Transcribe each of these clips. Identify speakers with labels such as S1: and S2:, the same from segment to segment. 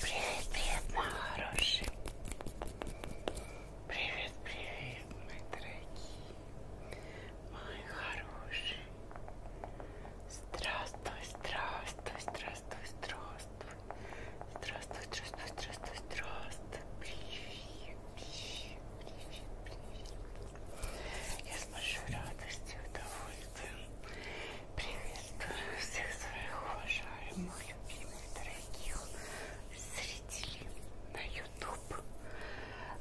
S1: Привет, привет, мой хороший. Привет, привет, мои дорогие. Мои хорошие. Здравствуй, здравствуй, здравствуй, здравствуй. Здравствуй, здравствуй, здравствуй, здравствуй. Привет, привет, привет, привет. Я с большой радостью и удовольствием Приветствую всех своих уважаемых, любимых, дорогих зрителей на YouTube,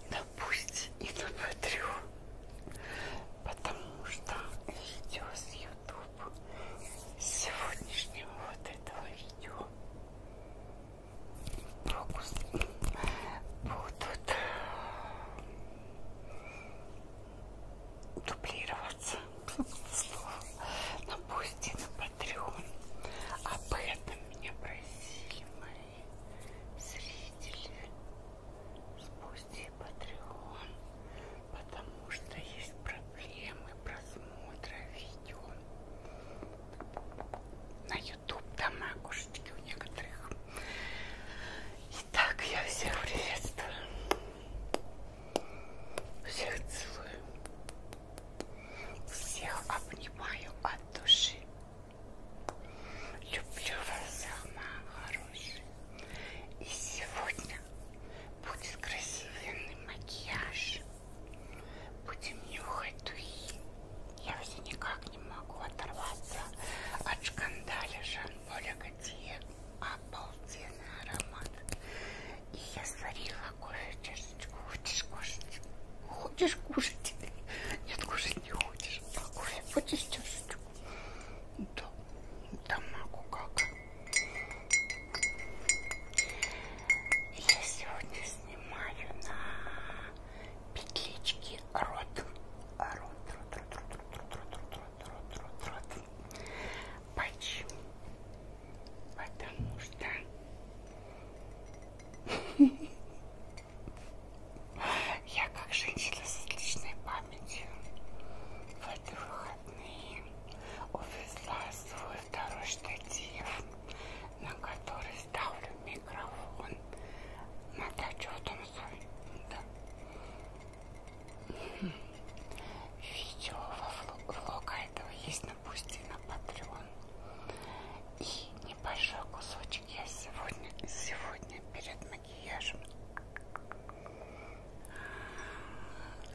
S1: на Пусть и на Патреон, потому что видео с YouTube сегодняшнего вот этого видео фокус будут дублироваться на Бусти, на Патреон. Об этом меня просили мои зрители с Бусти и Патреон, потому что есть проблемы просмотра видео. На YouTube там окошечки у некоторых. Так, я всех приветствую. Всех целую. Всех обнимаю от души. Люблю вас, самая хорошая. И сегодня будет красивенный макияж. Будем нюхать духи. Я все никак не могу оторваться от шкандаля Жан-Поля Готье обалденный аромат. И я сварила кофе, чашечку. Хочешь кушать? Хочешь кушать? Нет, кушать не хочешь. А кофе хочешь чашечку? Да, да могу как. Я сегодня снимаю на петличке рот. Рот, рот, рот, рот, рот, рот, рот, рот, рот, рот, рот, рот. Почему? Потому что я как женщина с отличной памятью в эти выходные увезла свой второй штатив, на который ставлю микрофон на дачу в том свой. Да. Видео во влога этого есть на Бусти на Patreon. И небольшой кусочек я сегодня, сегодня перед макияжем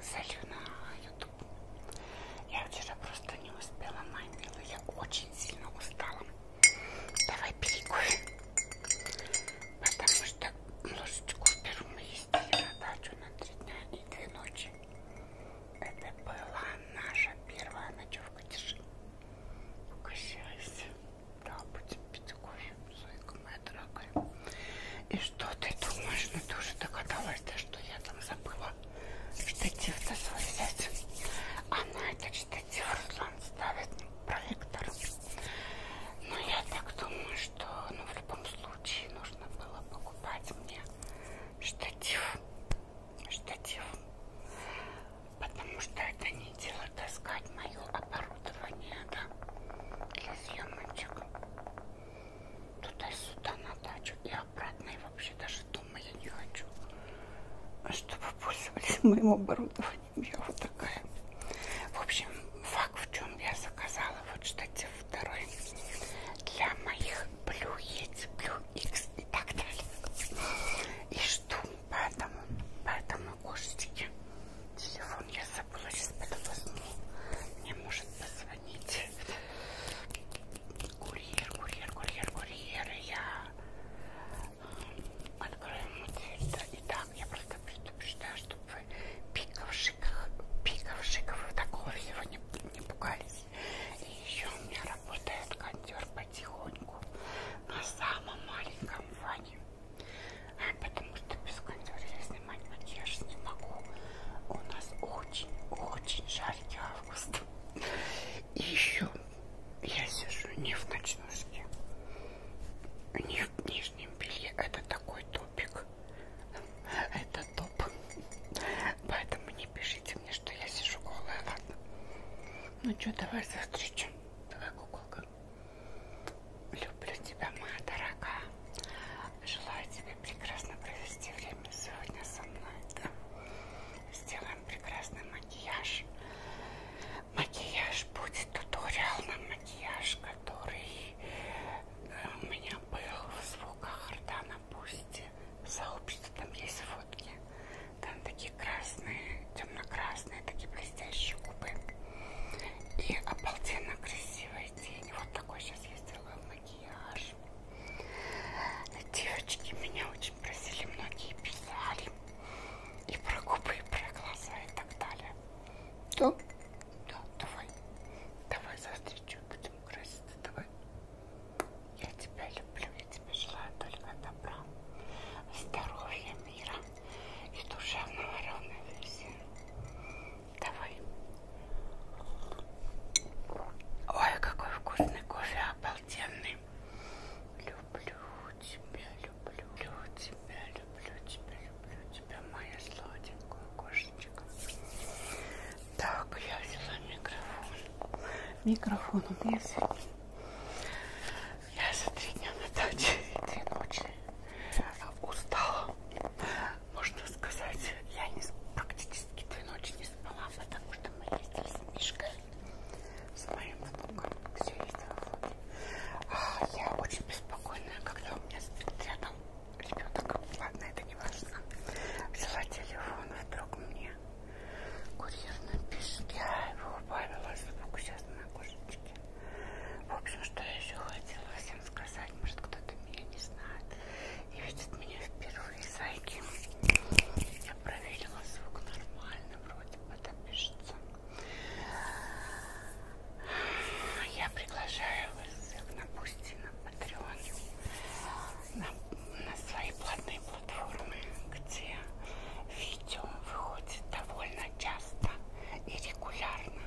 S1: залью на YouTube. Я вчера просто не успела, моя милая. Я очень сильно устала. Давай перекурим. Потому что ложечку беру ездили на дачу на три дня и а две ночи. Это была наша первая ночевка. Держи. Угощайся. Да, будем пить кофе, Зойка моя дорогая. И что ты думаешь? Ну ты уже догадалась, да, что я там забыла штатив-то свой взять. А на этот штатив Руслан ставит проектор. Но ну, я так думаю, что ну, в любом случае нужно было покупать мне штатив. Штатив. Потому что это не дело таскать мое оборудование, да, для съемочек. Туда-сюда на дачу и обратно. И вообще даже дома я не хочу. А чтобы пользовались моим оборудованием. Я вот такая. В общем, факт в чем я заказала вот штатив второй для моих Blue Yeti, Blue X и так далее. И жду, поэтому, поэтому кошечки. Телефон я забыла, сейчас потом возьму. Мне может позвонить курьер, курьер, курьер, курьер. И я открою ему дверь. Да, и да, вам ну, я просто предупреждаю, чтобы вы пиков, шиков, пиков, шиков и такого всего не, не пугались. И еще у меня работает кондер потихоньку на самом маленьком ване. А потому что без кондера я снимать макияж не могу. У нас очень-очень жаркий август. И еще я сижу не в ночнушке, не в нижнем белье. Это такой топик. Это топ. Поэтому не пишите мне, что я сижу голая, ладно? Ну что, давай застричим. Давай, куколка. Люблю тебя, моя дорогая. Желаю тебе прекрасно провести время сегодня со мной. Да? Сделаем прекрасный макияж. Макияж будет туториал на макияж, который у меня был в звуках рта на пусте сообщество, там есть фотки. Там такие красные, темно-красные, такие блестящие губы. И обалденно красивые тени. Вот такой сейчас я сделаю макияж. Девочки меня очень просили, многие писали. И про губы, и про глаза, и так далее. Да? Да, давай. Давай застричу, будем краситься, давай. Я тебя люблю, я тебе желаю только добра, здоровья, мира и душевного равновесия. Давай. Ой, какой вкусный кофе, обалденный. Люблю тебя, люблю, люблю тебя, люблю люблю тебя, люблю тебя, моя сладенькая кошечка. Так, я взяла микрофон. Микрофон у меня сегодня. Я за три дня на даче и две ночи а, устала. Можно сказать, я не, практически две ночи не спала, потому что мы ездили с Мишкой, с моим внуком, все ездила. А, я очень беспокойная, когда у меня спит рядом ну, ребенок, ладно, это не важно. Взяла телефон, вдруг мне курьер напишет, я его убавила звук сейчас на кошечке. В общем, что я еще хотела всем сказать, может кто-то меня не знает и видит меня впервые, зайки. Я проверила звук нормально, вроде бы, да, пишется. Я приглашаю вас всех на Бусти, на Patreon, на, на свои платные платформы, где видео выходит довольно часто и регулярно,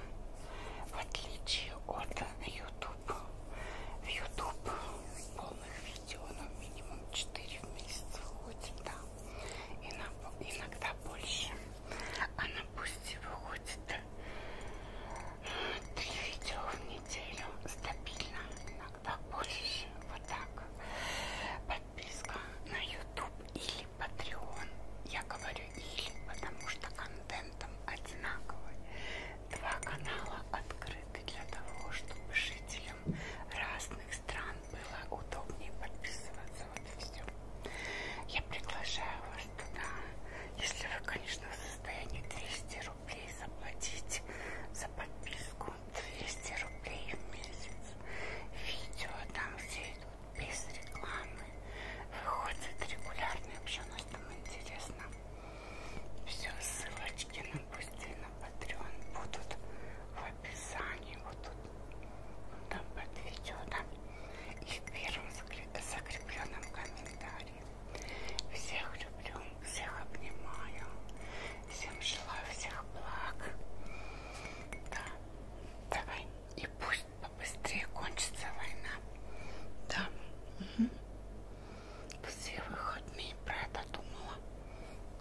S1: в отличие от YouTube. В YouTube полных видео, ну, минимум 4 в месяц выходит, да, иногда больше. А на Бусти выходит три видео в неделю стабильно, иногда больше. Вот так. Подписка на YouTube или Patreon. Я говорю или, потому что контентом одинаковый. Два канала открыты для того, чтобы жителям разных стран было удобнее подписываться. Вот и все. Я приглашаю вас пожалуйста, да. Если вы, конечно, в состоянии 200 рублей заплатить за подписку, 200 рублей в месяц. Видео там все идут без рекламы. Выходит регулярно, вообще у нас там интересно. Все, ссылочки на быстрее на Patreon будут в описании. Вот тут там под видео, да. И в первом заключении закрепленном комментарии. Всех люблю, всех обнимаю, всем желаю всех благ. Да, давай и пусть побыстрее кончится война. Да. Угу. Все выходные про это думала.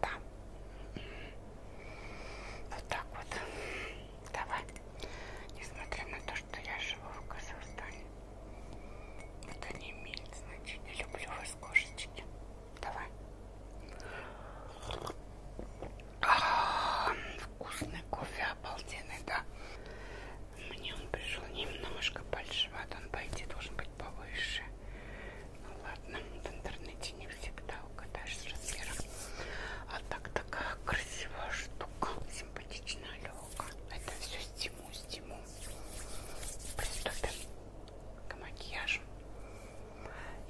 S1: Да. Вот так вот. Давай. Несмотря на то, что я живу в Казахстане. Это не имеет значения. Люблю вас, кошечки. Давай. А -а -а, вкусный кофе, обалденный, да? Мне он пришел немножко большеват, он пойти должен быть повыше. Ну ладно, в интернете не всегда угадаешь с размером. А так такая красивая штука легко, симпатично, легко. Это все стимул, стимул. Приступим к макияжу.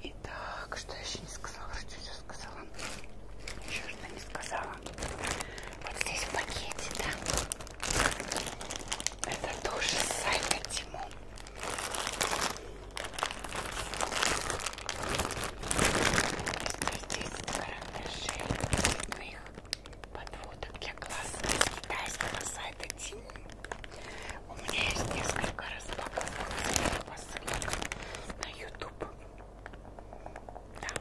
S1: Итак, что я еще не сказала? Что я еще сказала? Еще что не сказала. Вот здесь в пакете, да? Это тоже с сайта Тиму здесь карандашей цветных подводок для глаз с китайского сайта Тиму. У меня есть несколько распаковок посылок на YouTube. Да.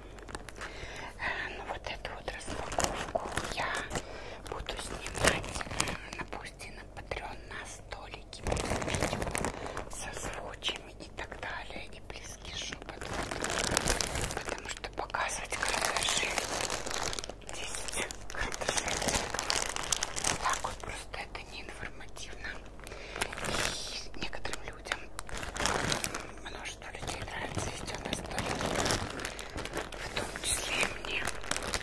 S1: Ну вот эту вот распаковку я буду снимать, напустим, на Patreon на столике. Созвучим и так далее, и близкий шепот. Потому что показывать карандаши, 10 карандашей, так вот просто это не информативно. И некоторым людям, множество людей нравится вести у нас в том числе и мне.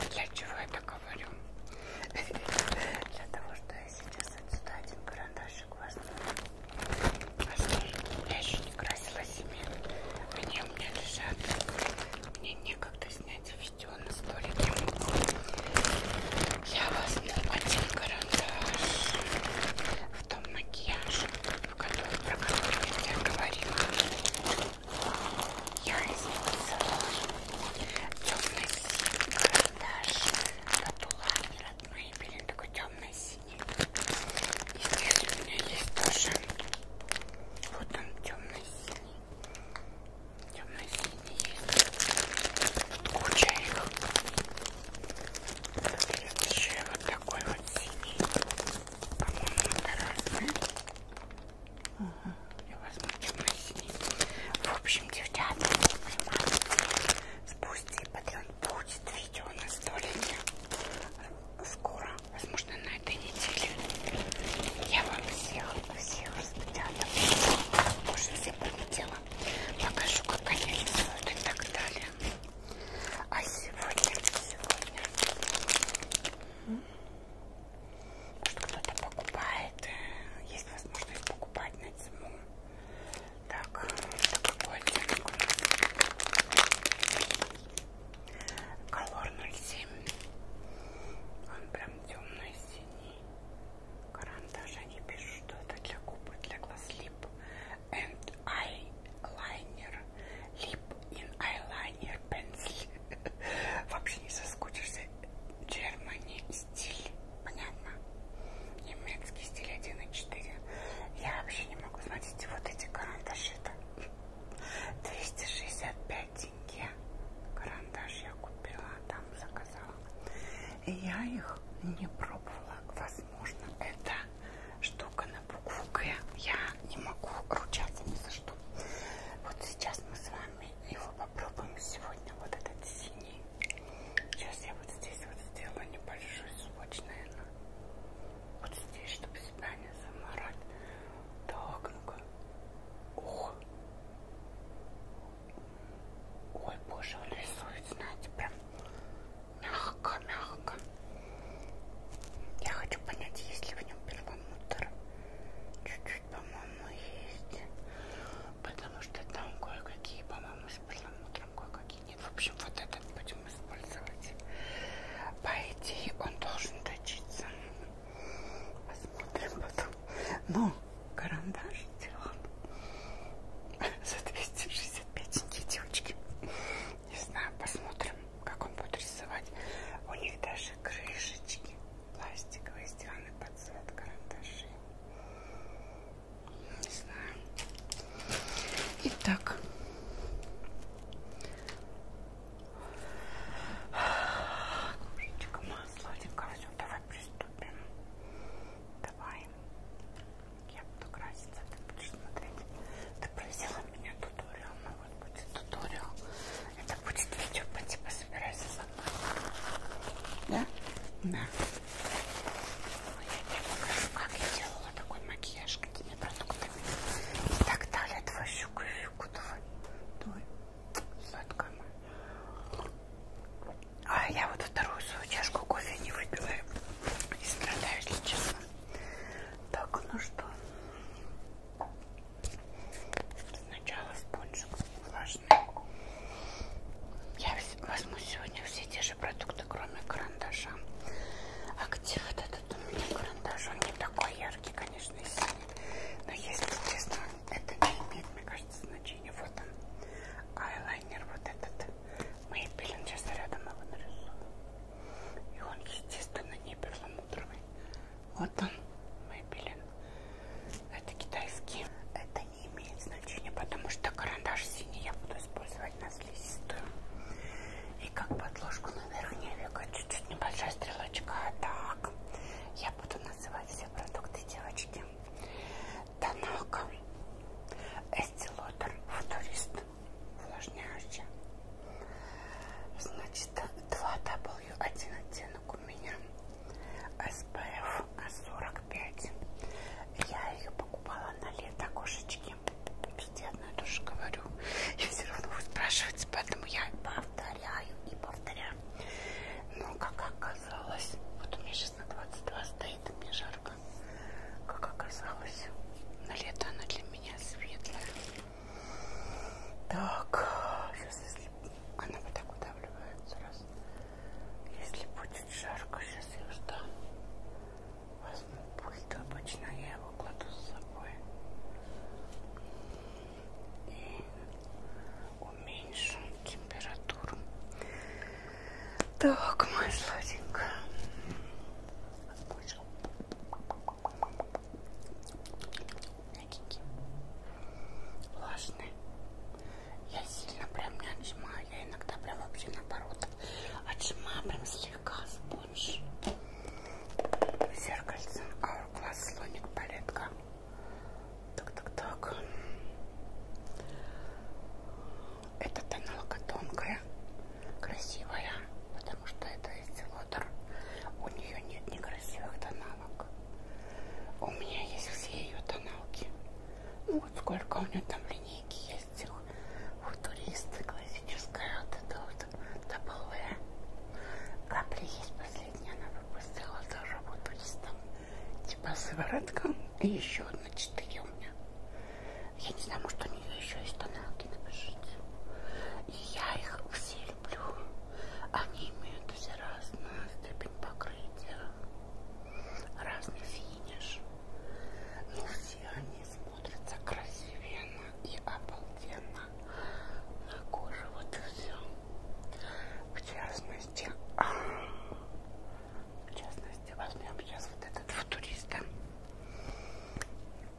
S1: Для чего я это говорю? Для того, что я сейчас отсюда один карандаш очень классно. А что же, я еще не красила себе. Они у меня лежат. Мне некогда снять видео на столике. Я возьму один карандаш в том макияже, в который, про который я тебе говорила. Я использовала темный карандаш от Улани родной пилинг такой темно-синий. И здесь у меня есть тоже. Вот он темно-синий. Темно-синий есть. Тут куча их. Есть еще вот такой вот синий. По-моему, это разные. Угу. Я возьму темно-синий. В общем, девчата, спусти, патреон будет видео на столике скоро, возможно, на этой неделе. Я вам всех, всех распечатала, уже все полетела, покажу, как они рисуют и так далее. А сегодня, сегодня, что кто-то покупает, э, есть возможность покупать на зиму так, это какой оттенок у нас? Колор 07. Он прям темный синий. Карандаш они пишут, что это для губ, для глаз лип. And eyeliner. Lip in eyeliner pencil. Вообще не соскучишься. Germany стиль. Понятно. Немецкий стиль 1,4. Я вообще не могу. Смотрите, вот эти карандаши-то. 265 тенге. Карандаш я купила, а там заказала. И я их не пробовала. Возможно, это штука на букву Г. Я не могу ручаться ни за что. Вот сейчас мы с вами его попробуем сегодня. Вот этот синий линии. Сейчас я вот здесь вот сделаю небольшой скотч, наверное. Вот здесь, чтобы себя не заморать. Так, ну-ка. Ох. Ой, боже, он рисует, знаете, прям мягко-мягко. Я хочу понять, есть ли в нем перламутр. Чуть-чуть, по-моему, есть. Потому что там кое-какие, по-моему, с перламутром кое-какие бумаги нет. В общем, вот этот будем использовать. По идее, он должен точиться. Посмотрим потом. Но ну, карандаш сделан за 265 тенге, девочки. Не знаю, посмотрим, как он будет рисовать. У них даже крышечки пластиковые сделаны под цвет карандашей. Не знаю. Итак. Кружечка моя сладенькая. Все, давай приступим. Давай. Я буду краситься, ты будешь смотреть. Ты просила меня туториал. Ну вот будет туториал. Это будет видео по типу собирайся со мной. Да? Да. Я не покажу, как я делала такой макияж, какими продуктами и так далее. Твою щуку, щуку, давай. Давай. Сладкая моя. А я вот вторую свою чашку кофе не выпила и страдаю, если честно. Так, ну что. Сначала спонжик влажный. Я возьму сегодня все те же продукты, продукты, кроме карандаша. А где вот этот у меня карандаш? Он не такой яркий, конечно, и синий. Но если честно, это не имеет, мне кажется, значения. Вот он. Айлайнер вот этот. Мейпелин. Сейчас рядом его а нарисую. И он, естественно, не перламутровый. Вот он. Мейпелин. Это китайский. Это не имеет значения, потому что карандаш синий я буду использовать на слизистую. И как подложку на верхнее веко чуть-чуть небольшая стрелочка. Так, я буду называть все продукты, девочки. Танака, Эстилотер, Футурист, увлажняющая. Значит, 2W, один оттенок у меня. SPF 45 я ее покупала на лето кошечки везде одно ну и то же говорю и все равно вы спрашиваете поэтому я повторяю и повторяю но как оказалось вот у меня сейчас на 22 стоит мне жарко как оказалось на лето она для меня светлая так сейчас если она вот так удавливается раз если будет жарко, сейчас я жду. Возьму пульт, обычно я его кладу с собой. И уменьшу температуру. Так, моя сладенькая. Влажный я сильно прям не отжимаю, я иногда прям вообще наоборот отжимаю прям слегка спонж. Зеркальце, аурглаз, слоник, палетка. Так-так-так. Эта тоналка тонкая, красивая, потому что это эстилотер. У нее нет некрасивых тоналок. У меня есть все ее тоналки. Ну вот сколько у нее там линей скамейки есть у, у туриста классическая вот эта вот W. Капли есть последняя, она выпустила тоже вот туристам типа сыворотка. И еще одна 4 у меня. Я не знаю, может у нее еще есть тоналки, напишите. И я их все люблю. Они имеют все разную степень покрытия разный финиш, но все они смотрятся красивенно и обалденно на коже, вот и все. В частности, а, в частности, возьмем сейчас вот этот футуриста.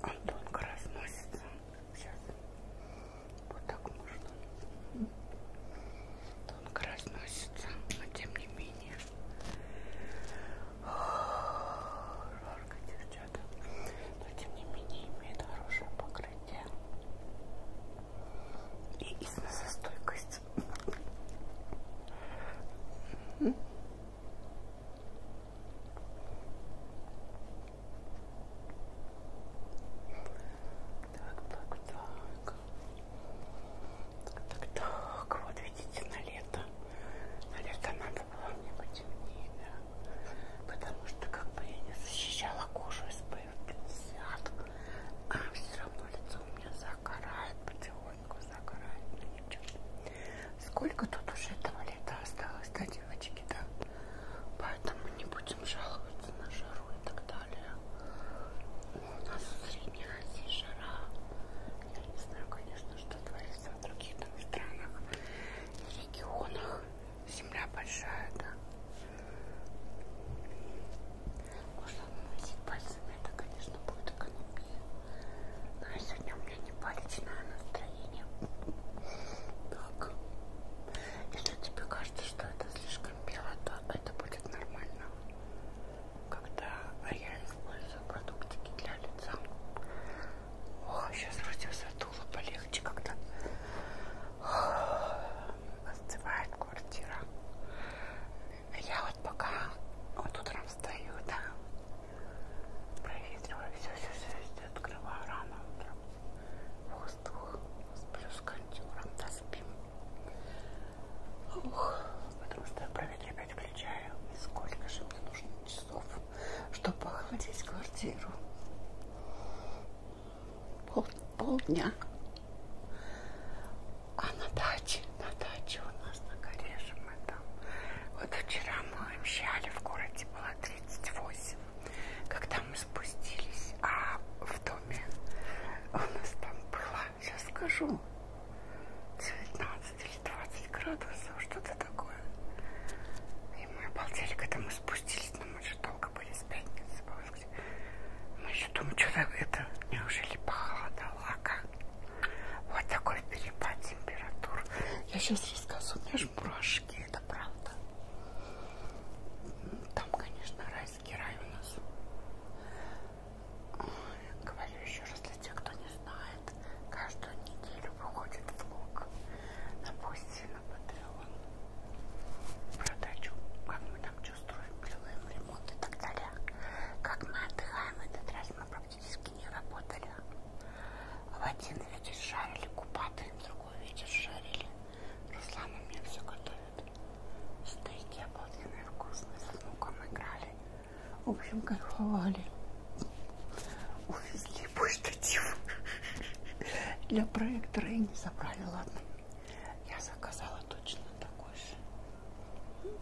S1: Он тонко разносится. Сейчас вот так можно тонко разносится, но тем не менее. Жарко, девчата. Но тем не менее имеет хорошее покрытие. И износостойкость. Так, так, так. Так, так, вот видите, на лето. На лето надо было мне потемнее, да. Потому что как бы я не защищала кожу SPF 50, а все равно лицо у меня загорает, потихоньку загорает. Ну ничего. Сколько тут уже этого лета осталось, да, девочки, да? Поэтому не будем жаловаться на жару и так далее у нас в Средней Азии жара. Я не знаю, конечно, что творится в других там странах и регионах. Земля большая, да. Можно наносить пальцами, это, конечно, будет экономия. Но сегодня у меня не палечное настроение. Так. Если тебе кажется, что это слишком бело, то это будет нормально когда я использую продуктики для лица. Ох, сейчас вроде задуло полегче когда остывает квартира. Я вот пока вот утром встаю, да, проветриваю все, все, все, все открываю рано утром. Воздух, сплю с кондюром, да, спим. Ух, потому что я проветривать включаю. И сколько же мне нужно часов, чтобы охладить квартиру? Пол, полдня. А на даче, на даче у нас на кореше мы там. Вот вчера мы обещали, в городе было 38, когда мы спустились, а в доме у нас там было сейчас скажу. 19 или 20 градусов, что-то такое. И мы обалдели, когда мы спустились, но мы же долго были с пятницы. Мы еще думаем, что это, неужели похолодало, а как? Вот такой перепад температур. Я сейчас расскажу, у меня же мурашки, это правда. Там, конечно, райский рай у нас. Говорю еще раз для тех, кто не знает, каждую неделю выходит влог на Бусти, на Патреон про дачу, как мы там чувствуем, делаем ремонт и так далее. Как мы отдыхаем, этот раз мы практически не работали. В один вечер жарили купаты, в другой вечер жарили. Руслан у меня все готовит. Стейки обалденные вкусные, с внуком играли. В общем, кайфовали. Увезли мой штатив. Для проектора и не забрали, ладно. Я заказала точно такой же.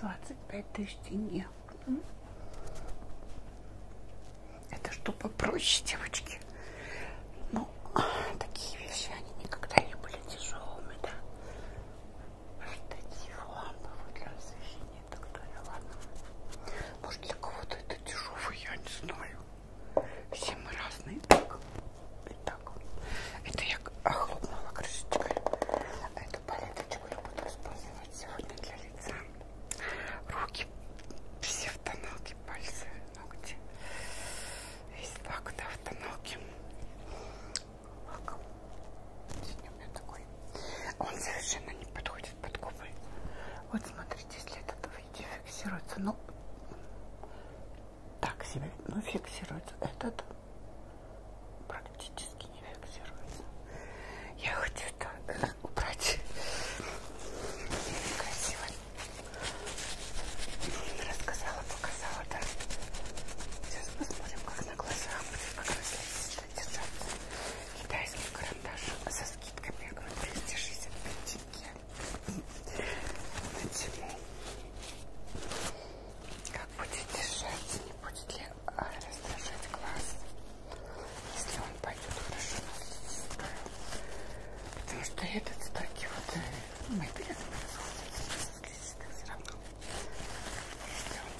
S1: 25 тысяч тенге. Это что попроще, девочки? Ну, такие вещи, они никогда не были тяжелыми, да? штатив ламповый для освещения и так далее. Ладно. Может для кого-то это дешево, я не знаю. Все мы разные. Итак, Итак. это я охлопнула крышечкой. А эту палеточку я буду использовать сегодня для лица. Руки все в тоналке, пальцы, ногти. Весь так, да, в тоналке лак. Сегодня у меня такой. Он совершенно не подходит под губы. Вот смотрите, если этот видите, фиксируется. Ну, так себе, ну фиксируется. Этот практически не фиксируется. Я хочу это э, убрать. Красиво. Рассказала, показала, да. Сейчас посмотрим, как как на глазах будут покрасить держаться китайский карандаш со скидками я говорю 365 тенге почему как будет держаться не будет ли а, раздражать глаз если он пойдет хорошо потому что этот стойки вот мой билет все равно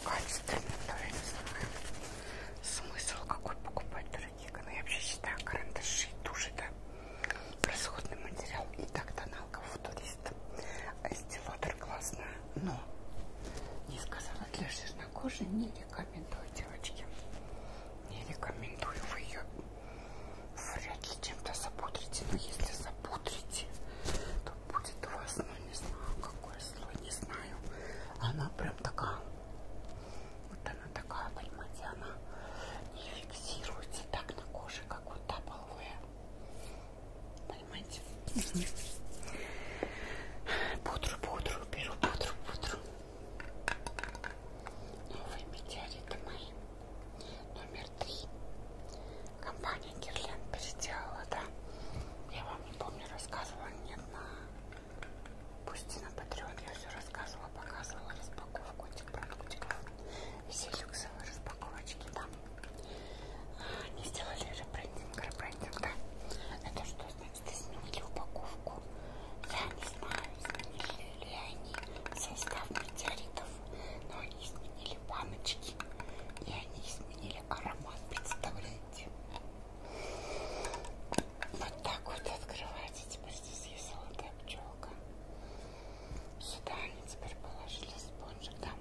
S1: качественный, то я не знаю смысл какой покупать, дорогие. Но ну, я вообще считаю карандаши и туши, да, расходный материал. И так тоналка футурист. Стилатор классная, но не сказала для жирнокожей, не рекомендую, девочки. Не рекомендую, вы ее вряд ли чем-то запудрите. Но ну, если запудрите, что будет у вас, но ну, не знаю, какой слой, не знаю. Она прям такая, вот она такая, понимаете, она не фиксируется так на коже, как вот та половая. Понимаете? Пудру, пудру, беру пудру, пудру. Новые метеориты мои. Номер три компания Герлен переделала, да? Я вам не помню, рассказывала, нет, на... Пусть на Патреон я все рассказывала, показывала распаковку этих продуктиков. Все люксовые распаковочки, да? Они сделали ребрендинг, ребрендинг, да? Это что значит? Изменили упаковку. Я не знаю, изменили ли они состав метеоритов, но они изменили баночки и они изменили сменили аромат, представляете? Вот так вот открывается, теперь здесь есть золотая пчелка. Сюда они теперь положили спонжик, там.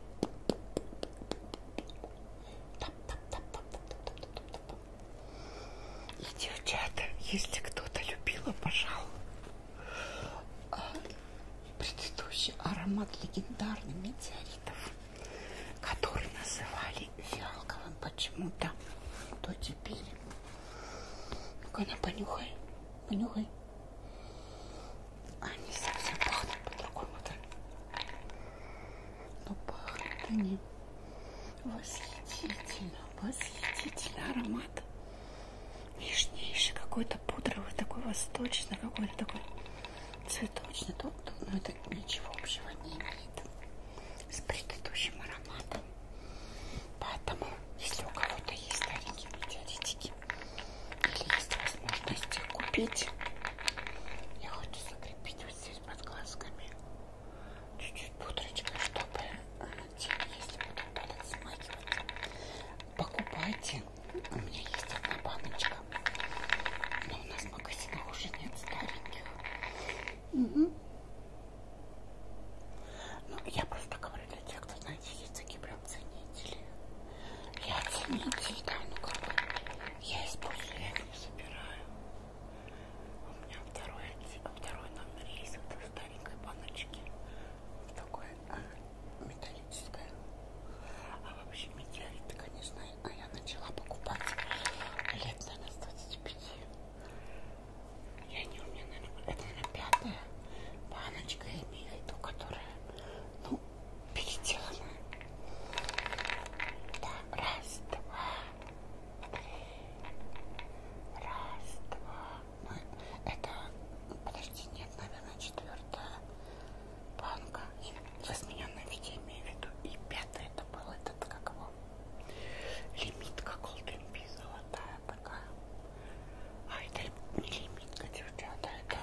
S1: И, девчата, если кто-то любил, обожал, а, предыдущий аромат легендарных метеоритов, который называли фиалковым почему-то, то теперь. Ну-ка, на понюхай, понюхай. Они а, совсем пахнут по-другому-то. Но ну, пахнут они восхитительно, восхитительный аромат. Нежнейший какой-то пудровый, такой восточный, какой-то такой цветочный, тут, ну это ничего общего не имеет с предыдущим ароматом. Поэтому, если у кого-то есть старенькие метеоритики, или есть возможность их купить, я хочу закрепить вот здесь под глазками чуть-чуть пудрочкой, чтобы э, тени, если будут далее смахивать, покупайте. У меня есть одна баночка. Но у нас в магазинах уже нет стареньких. Угу. Ну, я просто говорю для тех, кто, знаете, есть такие прям ценители. Я ценитель, да, ну как бы. Я использую, я их не собираю. У меня второй, а второй номер есть вот в старенькой баночке. В такой а, металлическая. А вообще метеориты, конечно, а я начала покупать лет, наверное, с 25. Я не умею, наверное, это, наверное, пятая баночка имею ту, которая, ну, переделана. Да, раз, два, три, раз, два. Мы, ну, это, подожди, нет, наверное, четвертая банка в измененном виде, имею в виду. И пятое это был этот, как его, лимитка Golden Bee, золотая такая. А это не лимитка, девчата, это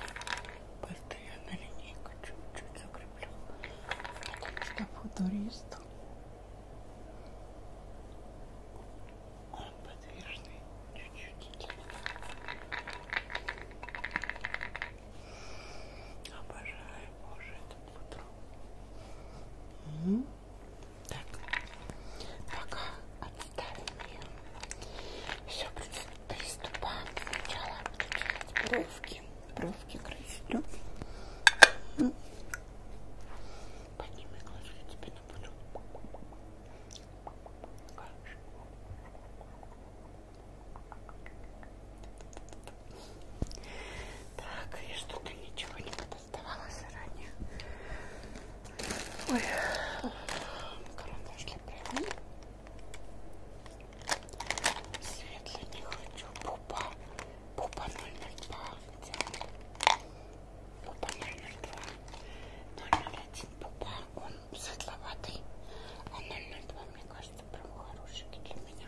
S1: просто я на линейку чуть-чуть закреплю. Потому что футурист. Он подвижный чуть-чуть. Обожаю, боже, это утро. Угу. Так, пока отставим ее. Все, приступаем. Сначала буду делать бровки. Бровки красить. Угу. Подними глаза, я тебе напуду. Хорошо. Так, я что-то ничего не доставала заранее. Ой, карандаш для пера. Светлый не хочу. Пупа. Пупа 002. Где он? Пупа 002. 001 пупа. Он светловатый. А 002, мне кажется, прям хорошенький для меня.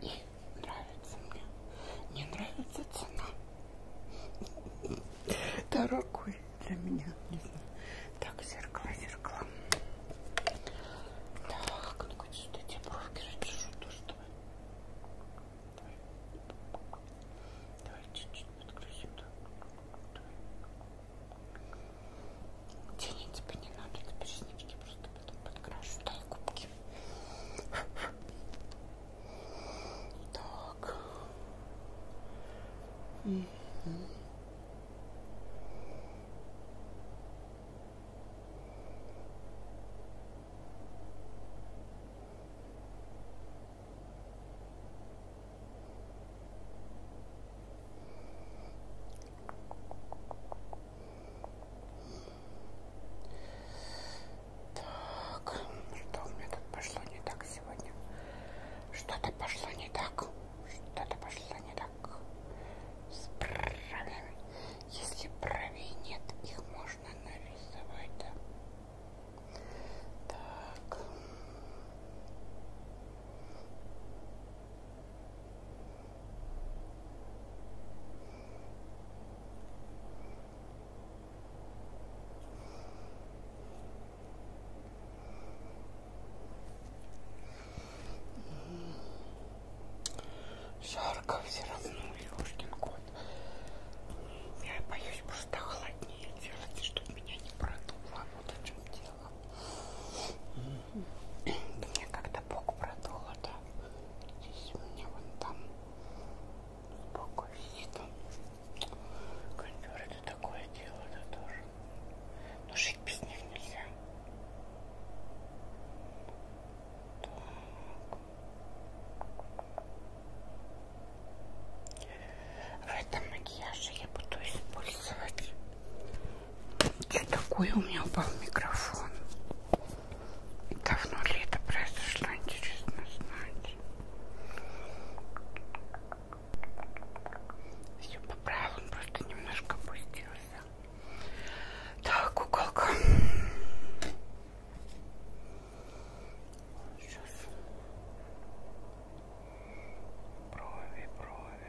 S1: И нравится мне. Не нравится цена. Дорогой для меня, не знаю. Так, зеркало, зеркало. Так, ну-ка, что эти бровки расчешу тоже, давай. Давай чуть-чуть подключим, да. Давай. Тени тебе не надо, это переснички, просто потом подкрашу. Дай губки. Так. Угу. Угу. Так, что у меня тут пошло не так сегодня? Что-то пошло не так. Что-то пошло не так. С бровями. Если бровей нет, их можно нарисовать, да? Так. Жарко все равно, Лешкин кот. Я боюсь просто холоднее делать, чтобы меня не продуло. Вот о чем дело. Мне когда Бог продуло, а да, здесь у меня вон там сбоку висит. Кондюр это такое дело, да, тоже. Но ну, жить без них нельзя. Так. В этом макияже я буду использовать... Что такое у меня упал микрофон? Давно ли это произошло, интересно знать. Все поправил, он просто немножко опустился. Так, куколка. Сейчас брови, брови.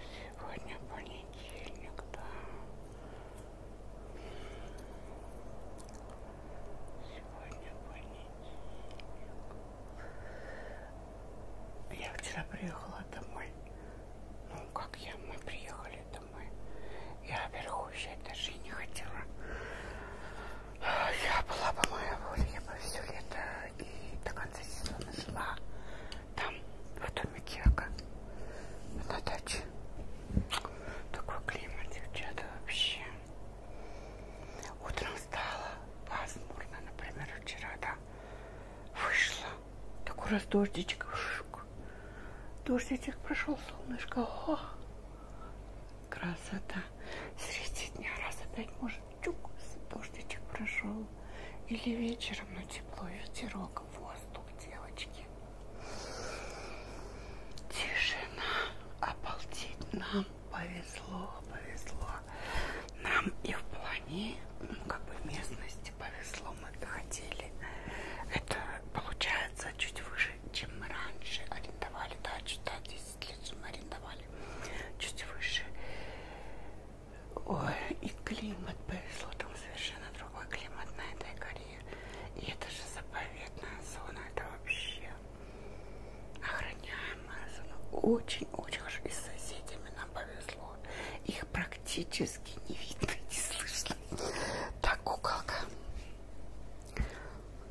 S1: Сегодня понедельник, да. Сегодня понедельник. Я вчера приехала домой. Ну, как я, мы приехали домой. Я вверху еще даже не хотела. Я была по моей воле, я бы все лето и до конца сезона жила там, в доме Кека, на даче. Такой климат, девчата, вообще. Утром стало пасмурно, например, вчера, да, вышла. Такой раз дождичек, дождичек прошел, солнышко, о, красота. Среди дня раз опять может чук, дождичек прошел. Или вечером, но ну, тепло, ветерок, воздух, девочки. Тишина. Обалдеть, нам повезло, повезло. Нам и в плане, ну, как бы местности повезло, мы доходили. Это получается чуть выше, чем мы раньше арендовали, да, чуть да, 10 лет мы арендовали, чуть выше. Ой, и климат повезло, там совершенно другой климат на этой горе. И это же заповедная зона, это вообще охраняемая зона. Очень-очень хорошо. И с соседями нам повезло. Их практически не видно, не слышно. Так, куколка.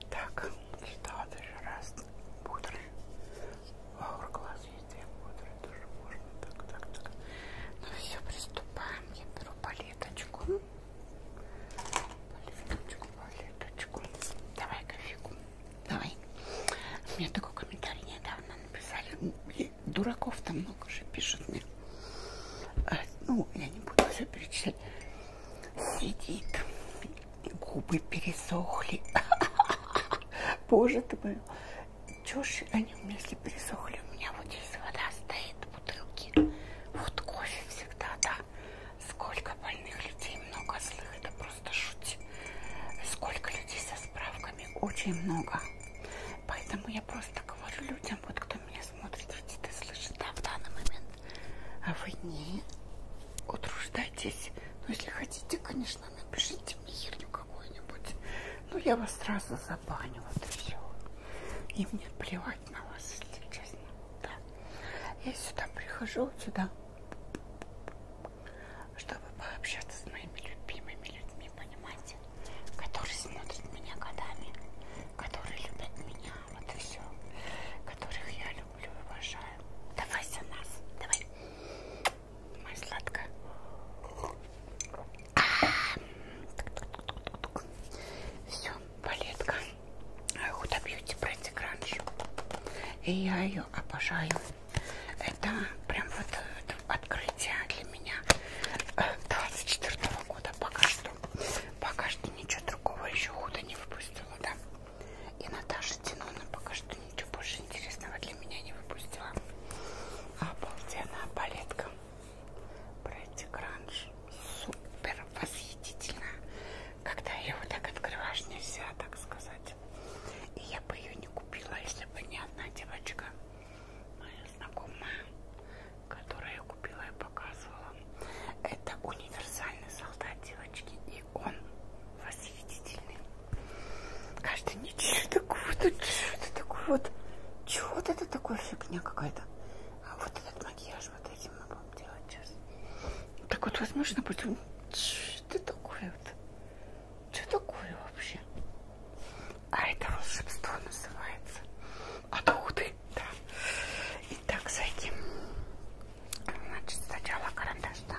S1: Так, что ты же раз пудры вокруг глаз действия бодрые тоже можно. Так, так, так. Ну все, приступаем. Я беру палеточку. Палеточку, палеточку. Давай кофейку. Давай. Мне такой комментарий недавно написали. Дураков там много же пишет мне. А, ну, я не буду все перечислять. Сидит. Губы пересохли. Боже ты мой чушь, они вместе пересохли. У меня вот здесь вода стоит, бутылки. Вот кофе всегда, да. Сколько больных людей, много злых, это просто шуть. Сколько людей со справками, очень много. Поэтому я просто говорю людям, вот кто меня смотрит, видит и слышит, да, в данный момент. А вы не утруждайтесь. Ну, если хотите, конечно конечно, напишите мне херню какую-нибудь. Ну, я вас сразу забаню, вот и все. И мне плевать на вас, если честно. Да. Я сюда прихожу, сюда, чтобы пообщаться с моими любимыми людьми, понимаете? Которые смотрят меня годами, которые любят меня, вот и все. Которых я люблю и уважаю. Давай за нас, давай. Моя сладкая. А -а -а. Все, палетка. Huda Beauty Pretty Crunch. И я ее обожаю. Это прям вот э, открытие для меня 24 э, -го года. Пока что. Пока что ничего другого еще худо не выпустила, да. И Наташа Тинона пока что ничего больше интересного для меня не выпустила. Обалденная палетка. Бретти Гранж. Супер восхитительно. Когда ее вот так открываешь, нельзя так сказать. И я бы ее не купила, если бы не одна девочка, моя знакомая, которая ее купила и показывала. Это универсальный солдат девочки, и он восхитительный. Каждый не что такое, тут что-то такое вот. Чего вот это такое фигня какая-то? А вот этот макияж вот этим мы будем делать сейчас. Так вот, возможно, потом... Что это такое вот? Что такое вообще? А это волшебство называется. Откуда? Да. Итак, зайдем. Значит, сначала карандаш, да?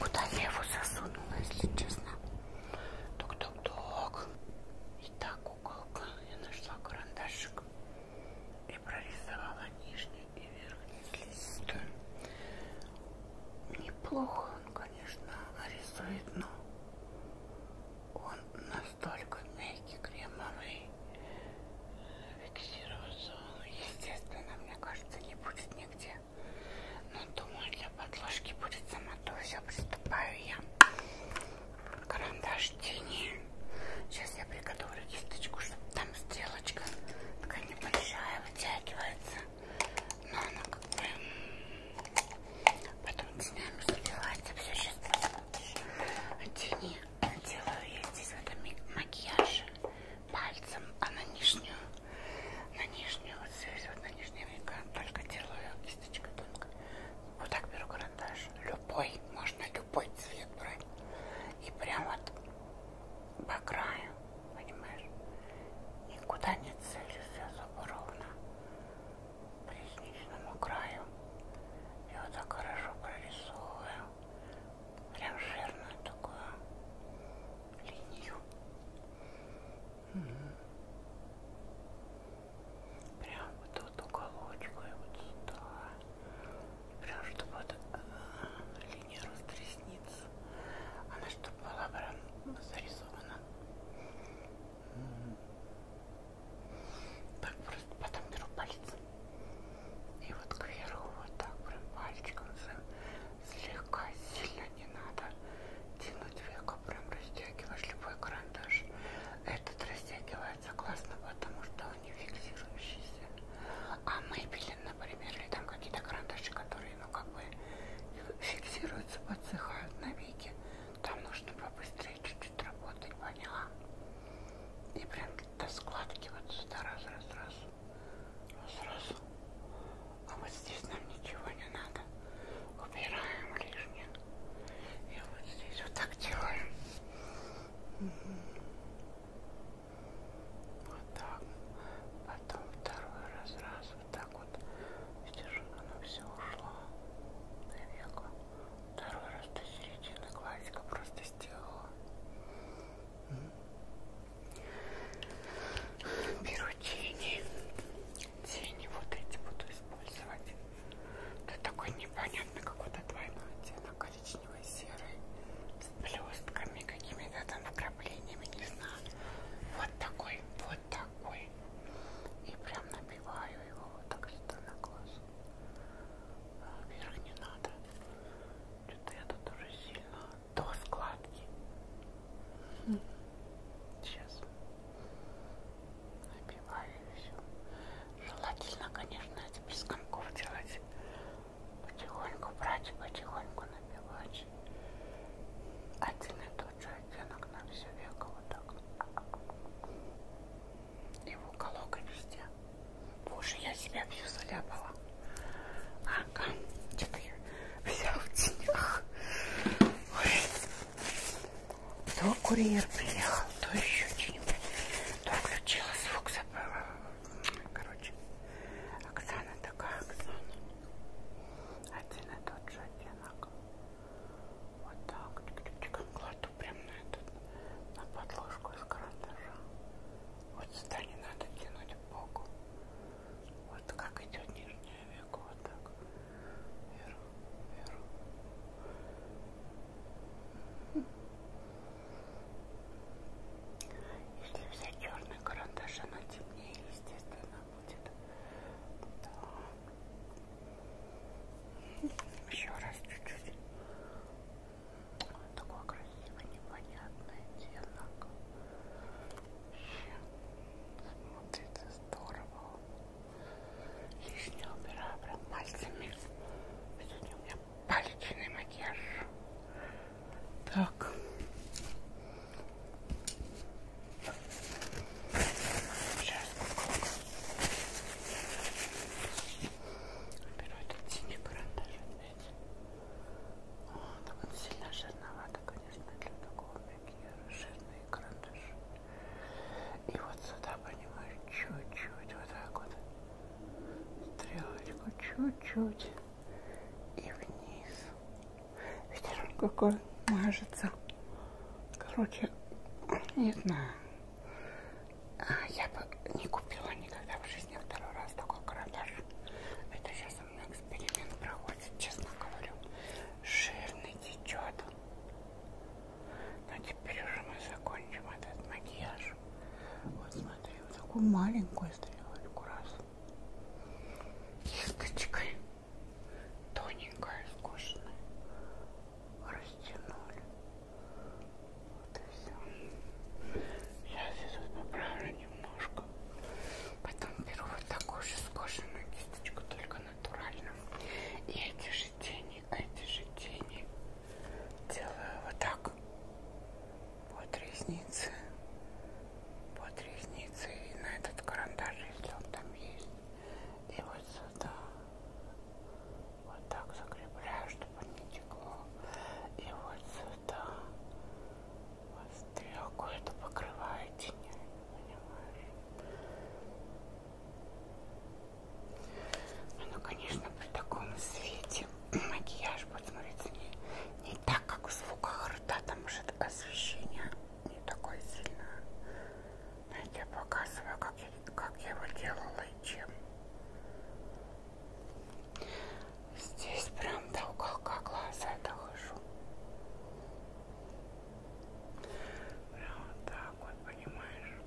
S1: Куда я его засунула, если честно? Тук-тук-тук. Итак, куколка, я нашла карандашик и прорисовала нижний и верхний слизистую. Неплохо он, конечно, рисует, но он настолько мягкий, кремовый. Фиксироваться он, естественно, мне кажется, не будет нигде. Но ну, думаю, для подложки будет самотуся. Приступаю я. Карандаш тени. Сейчас я приготовлю кисточку, чтобы там стрелочка такая небольшая вытягивается. Но она как бы потом тенями сливается. Все, сейчас посмотришь. Тени делаю я здесь в этом макияже пальцем, а на нижнюю на нижнюю, вот здесь вот на нижний века, только делаю кисточкой тонкой. Вот так беру карандаш, любой, можно любой цвет брать. И прям вот по краю, понимаешь, никуда не целюсь, все зубы ровно по ресничному краю. И вот так хорошо прорисовываю, прям жирную такую линию. Прям вот тут уголочку и вот сюда. Прям чтобы вот э, линия роста ресниц. Она чтобы была прям зарисована. Так просто потом беру палец. И вот кверху вот так прям пальчиком своим слегка, сильно не надо тянуть века, прям растягиваешь любой карандаш. Этот растягивается классно, потому что он не фиксирующийся. А Maybelline, например, или там какие-то карандаши, которые, ну, как бы фиксируются, подсыхают на веке. Там нужно побыстрее чуть-чуть работать, поняла? И прям до складки вот сюда раз-раз-раз сразу. А вот здесь нам ничего не надо. Убираем лишнее. И вот здесь вот так делаем. Вот так. Потом второй раз, раз, вот так вот. Видишь, оно все ушло. Навеку. Второй раз до середины классика просто сделала. Mm -hmm. Беру тени. Тени вот эти буду использовать. Это такой непонятный какой-то двойной оттенок, коричневый, серый, с блестками, какими-то там вкраплениями, не знаю. Вот такой, вот такой. И прям набиваю его вот так сюда на глаз. А вверх не надо. Что-то я тут уже сильно до складки. Сейчас набиваю все. Желательно, конечно, это без комков делать. Потихоньку брать, потихоньку набивать. Один и тот же оттенок на все веко вот так. И в уголок и везде. Боже, я себя всю заляпала. Ага, что-то я вся в тенях. Ой. То курьер приехал, то еще что-нибудь. То включила звук, забыла. Короче, Оксана такая, Оксана. Один и тот же оттенок. Вот так. Тик-тик-тик. Кладу прямо на этот, на подложку из карандаша. Вот сюда не надо тянуть боку. Вот как идет нижний не веку, вот так. Вверх, вверх. Если взять черный карандаш, она темнее, естественно, будет. Да. Еще раз чуть-чуть. Такое красивое, непонятное оттенок смотрится здорово. Лишнего убираю прям пальцами. Сегодня у меня палечный макияж. Так. Сейчас беру этот синий карандаш опять. Он сильно жирновато, конечно, для такого макияжа такие жирные карандаши. И вот сюда, понимаешь, чуть-чуть, вот так вот, стрелочку, чуть-чуть, и вниз. Видишь, он какой мажется. Короче, не знаю. А, я бы не купила никогда в жизни второй раз такой карандаш. Это сейчас странный эксперимент проходит, честно говорю. Жирный течет. Но теперь уже мы закончим этот макияж. Вот смотри, вот такую маленькую стрелочку раз. Кисточкой. Тоненькая, скучная. Растянули. Вот и все. Сейчас я тут поправлю немножко. Потом беру вот такую же скошенную кисточку, только натурально. И эти же тени, эти же тени делаю вот так. Под ресницы. Под ресницы. И на этот карандашик он там есть. И вот сюда. Вот так закрепляю, чтобы не текло. И вот сюда. Стрелку это покрывает тенями, понимаешь? Ну, конечно, при таком свете макияж будет смотреться не, не так, как в звуках рта, там же освещение не такое сильное. Но я тебе показываю, как я, как я его делала и чем. Здесь прям до уголка глаза дохожу. Прям вот так вот, понимаешь?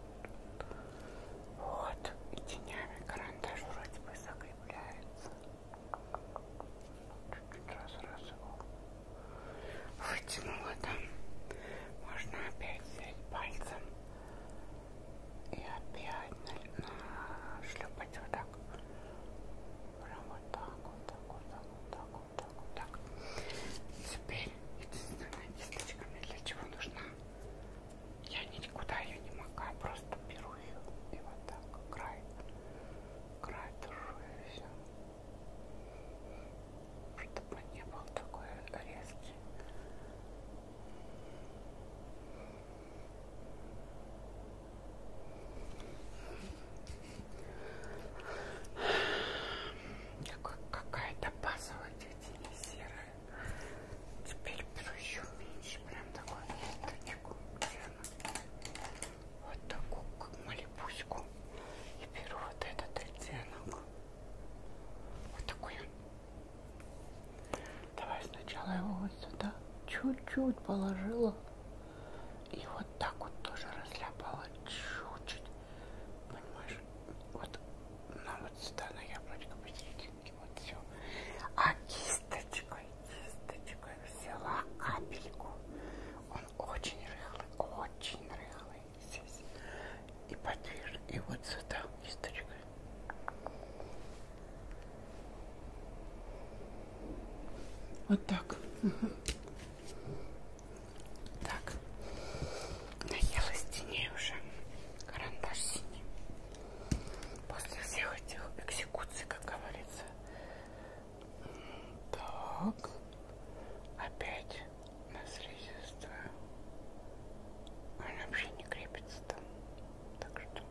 S1: Вот, и тенями карандаш вроде бы закрепляется. Чуть-чуть раз-раз его вытянула там. Можно опять взять пальцем и опять нашлепать вот так прям вот так вот так вот так вот так вот так вот так теперь единственная кисточка мне для чего нужна я никуда ее не макаю просто беру ее и вот так край край держу и все чтобы не был такой резкий Какая-то базовая тетя серая. Теперь беру еще меньше. Прям такой ниточку. Вот такую как малипуську. И беру вот этот оттенок. Вот такой он. Давай сначала его вот сюда. Чуть-чуть положила. И вот так вот тоже разляпала чуть-чуть. Понимаешь? Вот на вот сюда на яблочко посерединке. Вот все. А кисточкой, кисточкой взяла капельку. Он очень рыхлый, очень рыхлый здесь. И подвижный. И вот сюда кисточкой. Вот так. Угу. Так. Наелась теней уже. Карандаш синий. После всех этих экзекуций, как говорится. Так. Опять на слизистую. Он вообще не крепится там. Так что,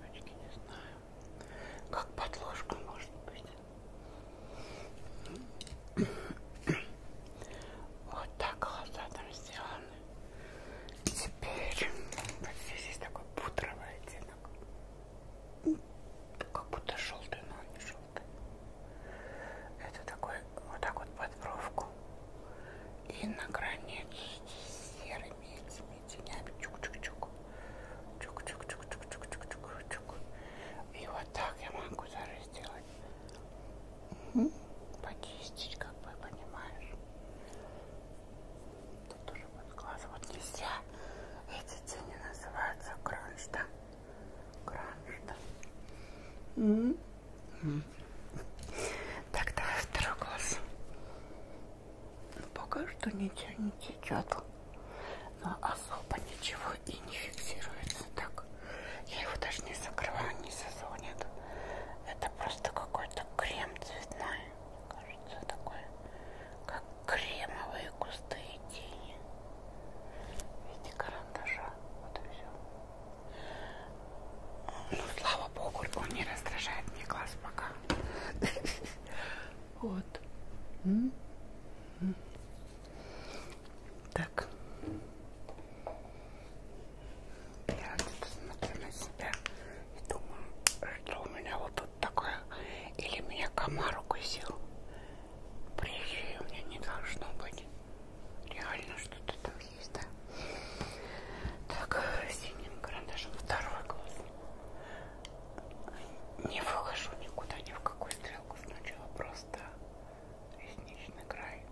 S1: девочки, не знаю как подложка может быть. Вот так глаза там сделаны. Теперь вот здесь есть такой пудровый оттенок. Как будто желтый, но он не желтый. Это такой вот так вот под бровку. И на границу здесь серый имеется своими тенями. Чук-чук-чук. Чук-чук-чук-чук-чук-чук-чук. И вот так я могу даже сделать. Угу. Почистить, как бы, понимаешь. Тут тоже под глаз. Вот нельзя. Эти тени называются кранш, да? Кранш, да? Угу. Угу. Так, давай второй глаз. Но пока что ничего не течет. Но особо ничего и не фиксируется так. Я его даже не закрываю, не созонит. Это просто какой-то крем цветной. Мне кажется, такой, как кремовые густые тени. Видите, карандаша. Вот и все. Ну, слава богу, он не раздражает мне глаз пока. Вот. М -м -м. Так. Я вот смотрю на себя и думаю, что у меня вот тут такое. Или меня комар укусил. Прежде у меня не должно быть. Реально что-то там есть, да? Так, синим карандашом второй глаз не выхожу никуда, ни в какую стрелку. Сначала просто ресничный край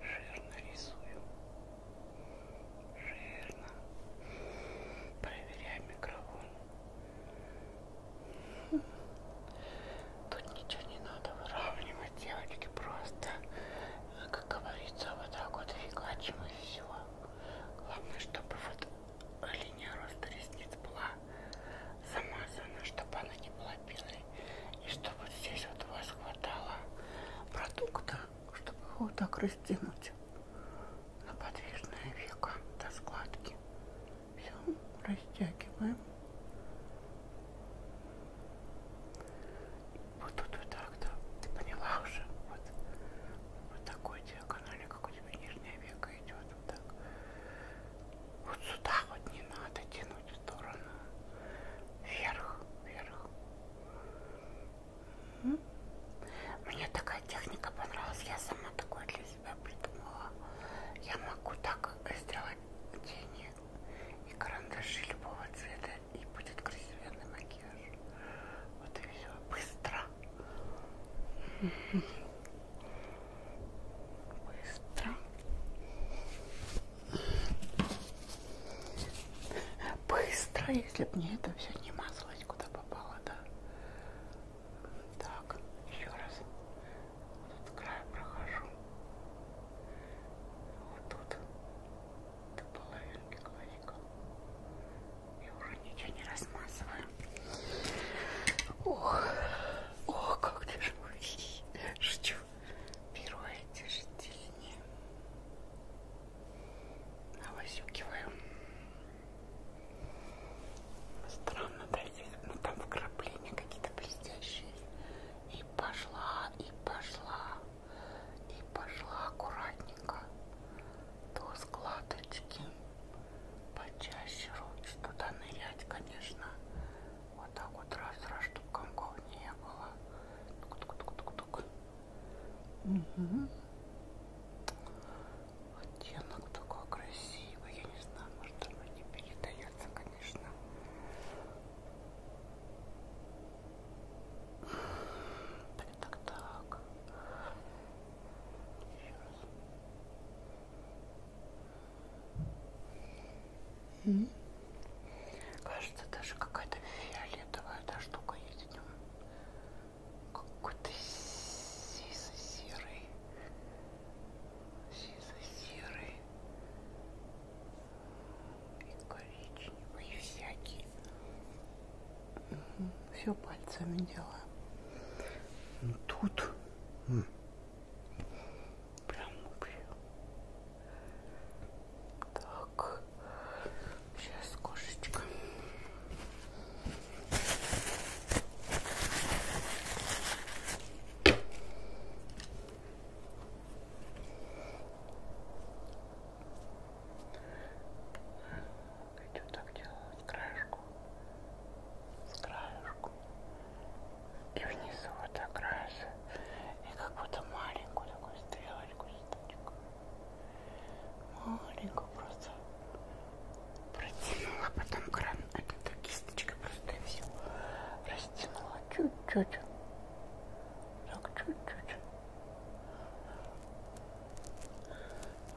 S1: жирно рисую. Жирно. Проверяю микрофон. Тут ничего не надо выравнивать, девочки, просто, как говорится, вот так вот фигачим и все. Главное, чтобы вот линия роста ресниц была замазана, чтобы она не была белой. И чтобы здесь вот у вас хватало продукта, чтобы его вот так растянуть на подвижное веко до складки. Все, растягиваем. Вот тут вот так, да. Ты поняла уже? Вот, вот такой диагоналик как у тебя нижняя века идет вот так. Вот сюда вот не надо тянуть в сторону. Вверх, вверх. Угу. Мне такая техника понравилась. Я сама такое для себя придумала. Я могу так сделать тени и карандаши любого цвета. И будет красивенный макияж. Вот и все. Быстро. Быстро. Быстро, если бы мне это все не мазалось, куда попало, да. Так, еще раз. Вот этот край прохожу. Вот тут. До половинки кладем маленько. Я уже ничего не размазываю. Ох, ох, как тяжело. Шучу. Перо эти же тени. Навозюкиваю. Странно, да, здесь, ну там вкрапления какие-то блестящие. И пошла, и пошла, и пошла аккуратнее до складочки почаще руки туда нырять, конечно. Вот так вот раз-раз, чтобы комков не было. Тук -тук -тук -тук. Угу. Оттенок такой красивый. Я не знаю, может оно не передается, конечно так, так, так. Еще раз. Mm -hmm. Кажется, даже какая-то фиолетовая эта штука есть в нем. Какой-то сизо-серый. Сизо-серый. И коричневый, и всякий. Все пальцами делаю. Ну тут. Прям вообще. Так. Сейчас кошечка. Хочу так делать с краешку, с краешку. И внизу вот так раз. И как будто маленькую такую стрелочку, штучку. Маленькую просто протянула, потом кран, это кисточка просто и все. Растянула чуть-чуть. Так чуть-чуть.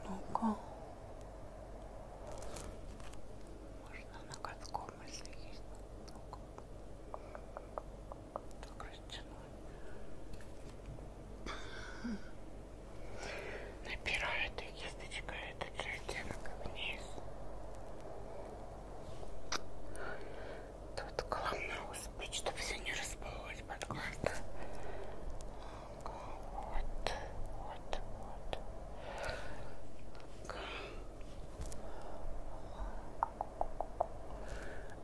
S1: Ну-ка. Можно на катком, если есть. Ну-ка. Так растянули. Напираю эту кисточку, этот же оттенок вниз. Тут главное успеть, чтобы все не расплылось под глаз. Вот, вот, вот. Так.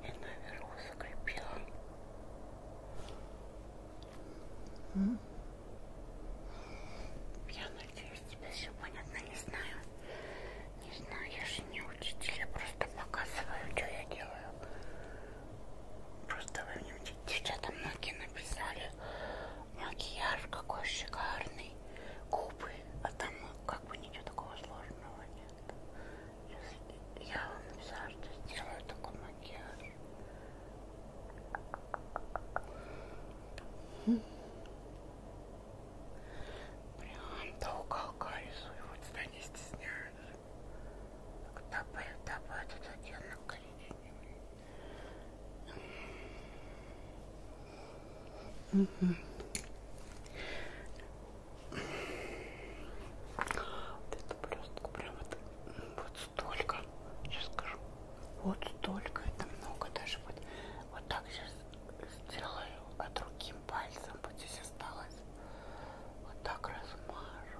S1: И наверху закрепила. Mm. Я надеюсь, тебе все понятно, ну, не знаю. Не знаю, я же не учитель, я просто показываю, что я делаю. Просто вы мне, девчата, многие написали, макияж какой шикарный, губы, а там как бы ничего такого сложного нет. Сейчас я вам написала, что сделаю такой макияж. Прям до уголка рисую, вот сюда не стесняюсь. Добавь, добавь этот оттенок коричневый. Угу. Вот эту блестку прям вот, вот столько. Сейчас скажу. Вот столько. Это много даже. Вот, вот так сейчас сделаю. А другим пальцем вот здесь осталось. Вот так размажу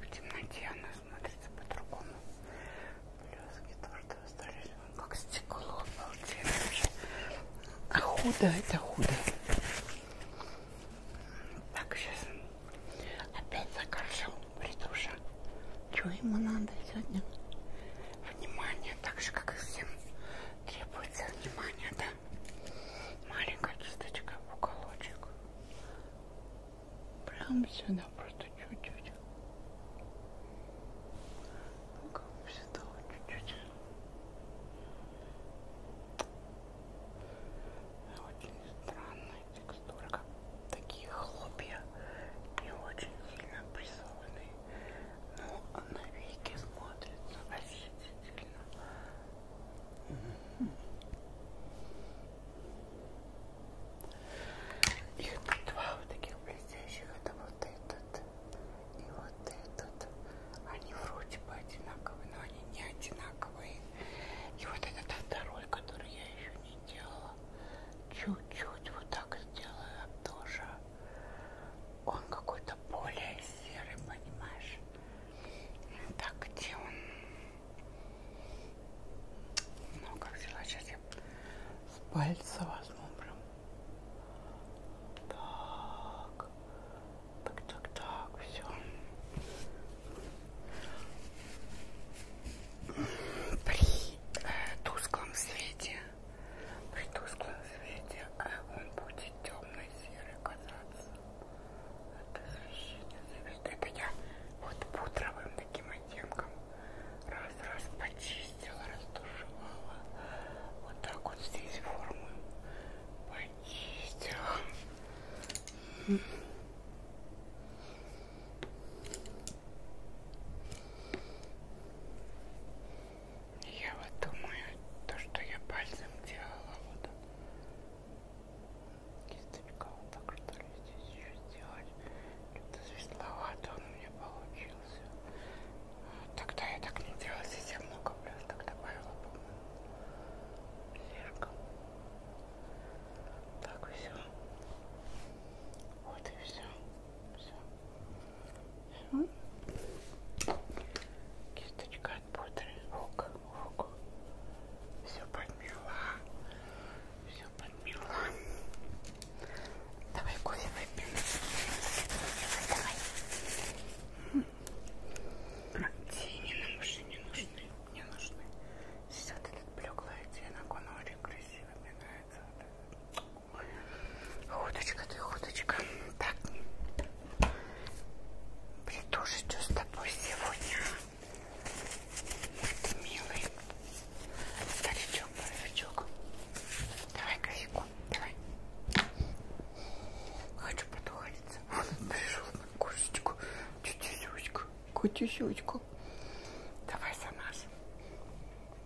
S1: В темноте она смотрится по-другому. Блески то, что остались, ну, как стекло, обалденно. А худо это худо. Так, сейчас опять закажу притуша. Чего ему надо сегодня? Внимание, так же, как и всем требуется внимание, да? маленькая кисточка в уголочек. Прям сюда просто чуть-чуть. Ну, как всегда, чуть-чуть. Очень странная текстура, как такие хлопья, не очень сильно прессованные, но ну, а на веки смотрится восхитительно. Их тут два вот таких блестящих. Это вот этот и вот этот. Они вроде бы одинаковые, но они не одинаковые. И вот этот второй, который я еще не делала. Чуть-чуть вот так сделаю тоже. Он какой-то более серый, понимаешь? Так, где он? Ну, как взяла, сейчас я с пальца возьму прям. Так, так, так, так, все. При э, тусклом свете, при тусклом свете э, он будет темно-серый казаться. Это освещение зависит. Это я вот пудровым таким оттенком раз-раз почистила, растушевала. Вот так вот здесь форму почистила. Я вот думаю, то, что я пальцем делала, вот кисточка вот так что ли здесь еще сделать это светловато он у меня получился тогда я так не делала здесь я много блесток добавила по-моему слишком так все вот и все все все кисточка от пудры ок подмогу. Все подмела. Все подмела. Давай кофе выпьем. Давай. Тени нам уже не нужны. Не нужны. Сейчас вот этот блеклый оттенок, он очень красиво меняется. Худочка ты, худочка. Так. Притуже, что с тобой сегодня? Ты милый старичок, боровичок. Давай кофейку, давай. Хочу подходиться. Вот он пришел на кошечку. Тетюсечка, котюсечка. Давай за нас.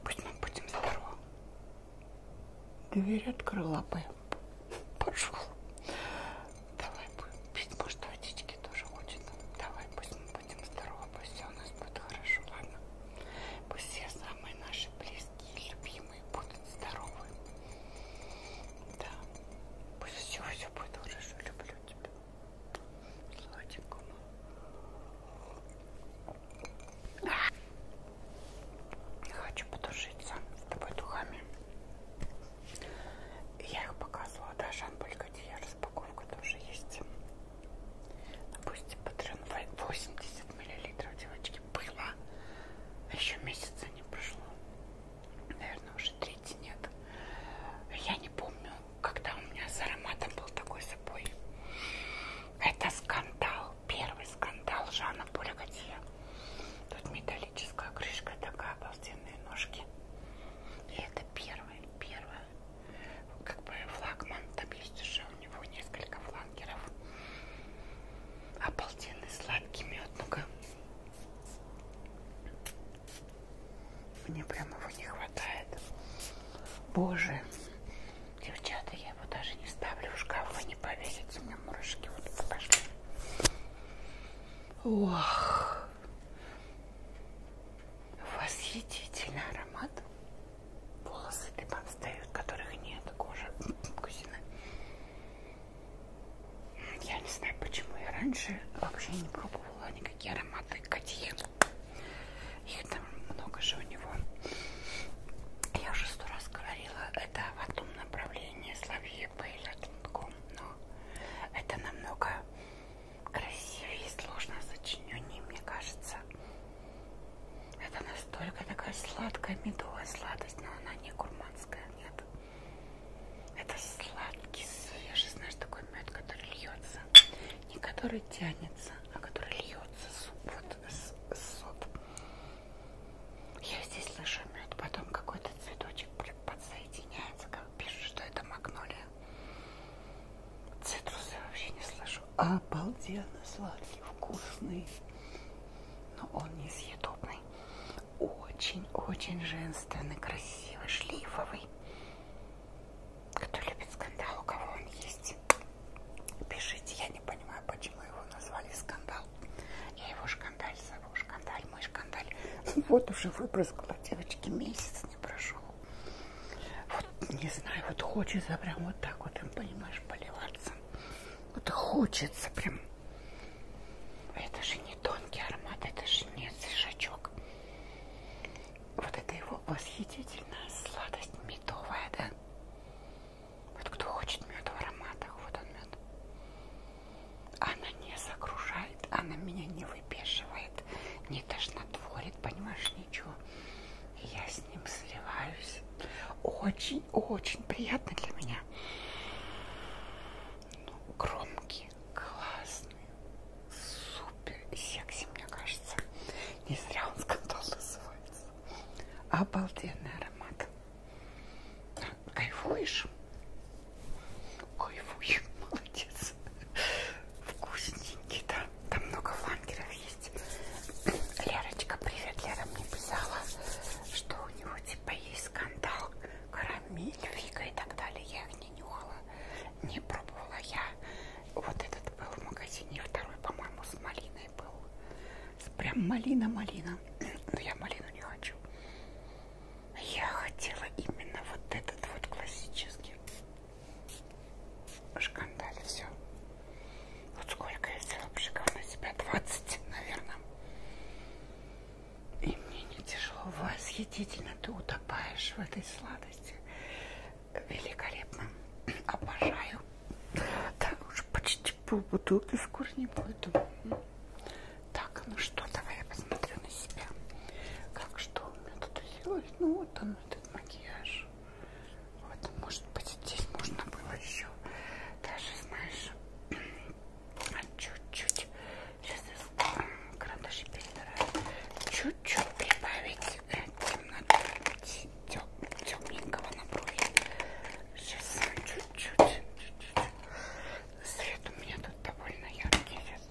S1: Пусть мы будем здоровы. Дверь открыла бы пошел. Давай будем пить. Может, водички тоже хочет. Давай, пусть мы будем здоровы, пусть все у нас будет хорошо, ладно? Пусть все самые наши близкие, любимые будут здоровы. Да. Пусть все, все будет хорошо. Люблю тебя. Сладенькому. Хочу потушиться с тобой духами. Я их показывала, да, Шампуль Готье, распаковка тоже есть. Допустим, патрон 80 мл, девочки, было. А Еще месяца не прошло. Наверное, уже третий нет. Я не помню, когда у меня с ароматом был такой запой. Это скандал, первый скандал Жанна Поля Готье. Тут металлическая крышка, такая обалденные ножки. И это первый, первый, как бы флагман. Там есть уже у него несколько флангеров. Обалденный сладкий мед. Ну-ка. Мне прям его не хватает. Боже, девчата, я его даже не ставлю в шкаф, вы не поверите, у меня мурашки вот пошли. Ох, восхитительный аромат. Волосы дымом стоят, которых нет, кожа кузина. Я не знаю, почему я раньше вообще не пробовала никакие ароматы Котье. Их там много же у него. Я уже сто раз говорила, это в одном направлении Славье Пейля Тунком но это намного красивее и сложно сочинение, мне кажется. Это настолько такая сладкая медовая сладость, но она не гурманская, нет. Это сладкий, свежий, знаешь, такой мед, который льется. Не который тянется, а который льется суп, вот, с, с сок. Я здесь слышу мед, потом какой-то цветочек подсоединяется, как пишут, что это магнолия. Цитрусы вообще не слышу. Обалденно сладкий, вкусный. Но он несъедобный. Очень-очень женственный, красивый, шлифовый. Кто любит скандал, у кого он есть, пишите. Я не понимаю, почему его назвали скандал. Я его же шкандаль, зову шкандаль, мой шкандаль. Вот уже выбрызгала, девочки, месяц не прошел. Вот, не знаю, вот хочется прям вот так вот, понимаешь, поливаться. Вот хочется прям. Это же не тонкий аромат, это же не шажок. Вот это его восхитительная сладость медовая, да? Вот кто хочет мед в ароматах, вот он мед она не загружает, она меня не выпешивает, не тошнотворит, понимаешь, ничего. Я с ним сливаюсь. Очень-очень приятно для меня. Ну, громкий, классный, супер секси, мне кажется. Не зря он скандал называется. Обалденный аромат. Кайфуешь? Кайфую, молодец. Вкусненький, да. Там много флангеров есть. Лерочка, привет, Лера мне писала, что у него типа есть скандал, карамель, фига и так далее. Я их не нюхала, не пробовала я. Вот этот был в магазине, второй, по-моему, с малиной был. Прям малина-малина. Но я малину не хочу. Я хотела именно вот этот вот классический шкандаль. Все. Вот сколько я взяла пшиков на себя? 20, наверное. И мне не тяжело. Восхитительно ты утопаешь в этой сладости. Великолепно. Обожаю. Да, уже почти пол бутылки скоро не буду. Так, ну что, давай я посмотрю на себя. Как что у меня тут сделать? Ну вот он, этот макияж. Вот, может быть, здесь можно было еще даже, знаешь, чуть-чуть. Сейчас я карандаши перетираю. Чуть-чуть прибавить э, темноты тем, темненького на брови. Сейчас чуть-чуть. Свет у меня тут довольно яркий сейчас.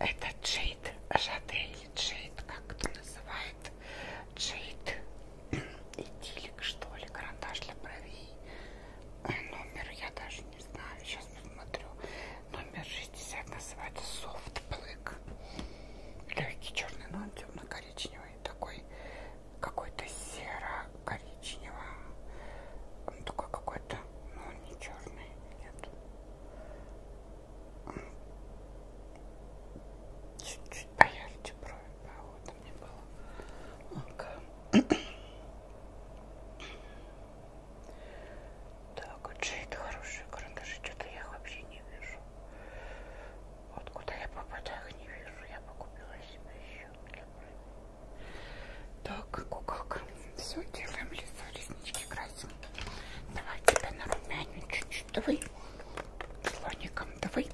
S1: Это джейд, жадель, джейд, как кто называет, джейд, идилик, что ли, карандаш для бровей. Э, номер я даже не знаю, сейчас посмотрю. Номер 60 называется Soft Black. Легкий черный, но он темно-коричневый, такой какой-то серо коричневого. Он такой какой-то, но он не черный, нет. Чуть-чуть поярче брови, да, вот мне было. Okay. Так, вот же это хорошие карандаши, что-то я их вообще не вижу. Вот куда я попадаю, их не вижу. Я покупила себе еще для брови. Так, куколка, все, делаем лицо, реснички красим. Давай тебя на румяню чуть-чуть, давай. Слоником, давай.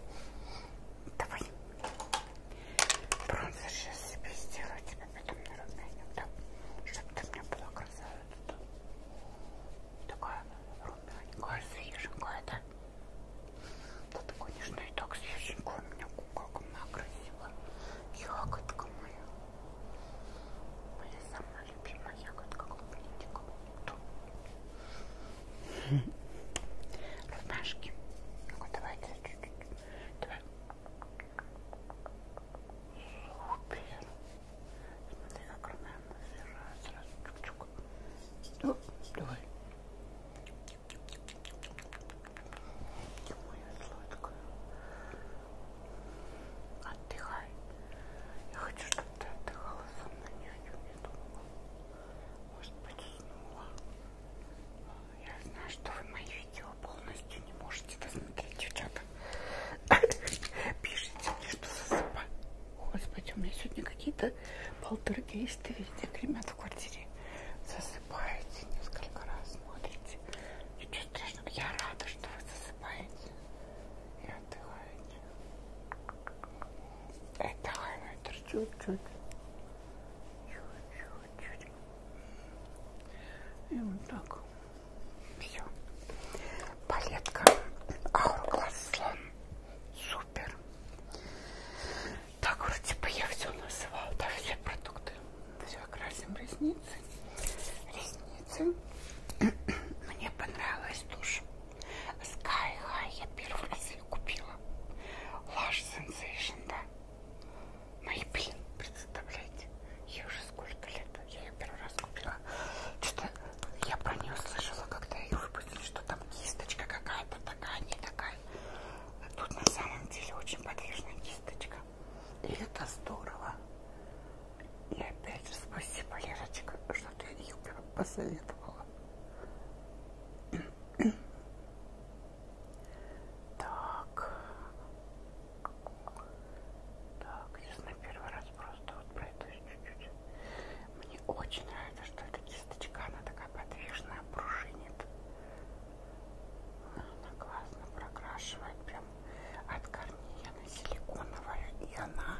S1: Давай. Бронза сейчас себе сделаю, тебя потом на румяню, да? Чтоб ты мне была красавица, да? Такая румяненькая, свеженькая, да? Тут, конечно, и так свеженькая у меня куколка, она красивая. Ягодка моя. Моя самая любимая ягодка клубничка. Ромашки. Ну-ка, давайте чуть-чуть. Давай. Супер. Смотри, как румяна сыра. Сразу чук-чук. Давай. Отдыхай. Я хочу, чтобы ты отдыхала со мной, ни о чем не думала. Может быть, уснула. Я знаю, что вы мои видео полностью не можете досмотреть, девчата. Пишите мне, что засыпаю. Господи, у меня сегодня какие-то полтергейсты везде гремят в квартире. Засыпаю засыпаете несколько раз, смотрите. Ничего страшного. Я рада, что вы засыпаете и отдыхаете. Это хайлайтер чуть-чуть. Чуть-чуть. И вот так. Все. Палетка Hourglass Слон. Супер. Так вот, типа я все называю, да, все продукты. Все, красим ресницы. Ресницы. Мне понравилась тушь. Sky High я первый раз ее купила. Lash Sensation, да. Maybe, ну представляете? Я уже сколько лет, я ее первый раз купила. Что-то я про нее слышала, когда ее выпустили, что там кисточка какая-то такая, не такая. Тут на самом деле очень подвижная кисточка. И это здорово. И опять же спасибо, Лерочка, что ты ее посоветовала. Так. Так, сейчас на первый раз просто вот пройдусь чуть-чуть. Мне очень нравится, что эта кисточка, она такая подвижная, пружинит. Ну, она классно прокрашивает прям от корней. Она силиконовая, и она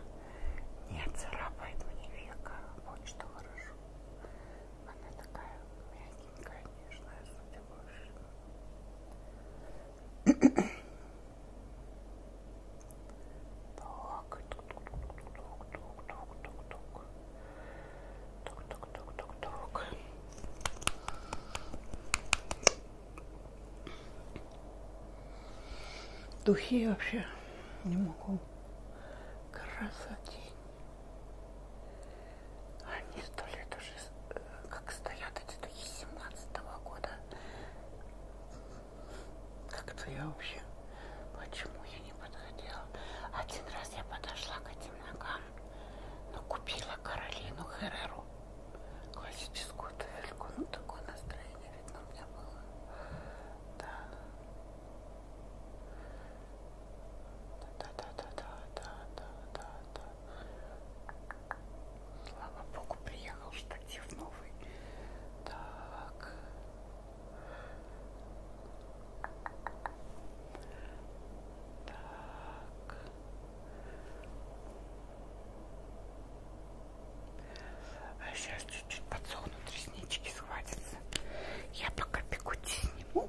S1: не царапает мне века. Вот что хорошо. Она такая мягенькая, нежная, судя по всему. Так, тук тук тук тук тук тук тук тук Тук-тук-тук-тук-тук. Духи вообще не могу. Красотень. Они сто лет уже э, как стоят эти духи 17 -го года. Как-то я вообще, почему я не подходила? Один раз я подошла к этим ногам, но купила Каролину Хереру классическую туфельку. Ну, такое настроение, видно, у меня было. Да. Да-да-да-да-да-да-да-да. Слава Богу, приехал штатив новый. Так. Так. А сейчас чуть-чуть подсохнут реснички, схватятся. Я пока пекуть сниму.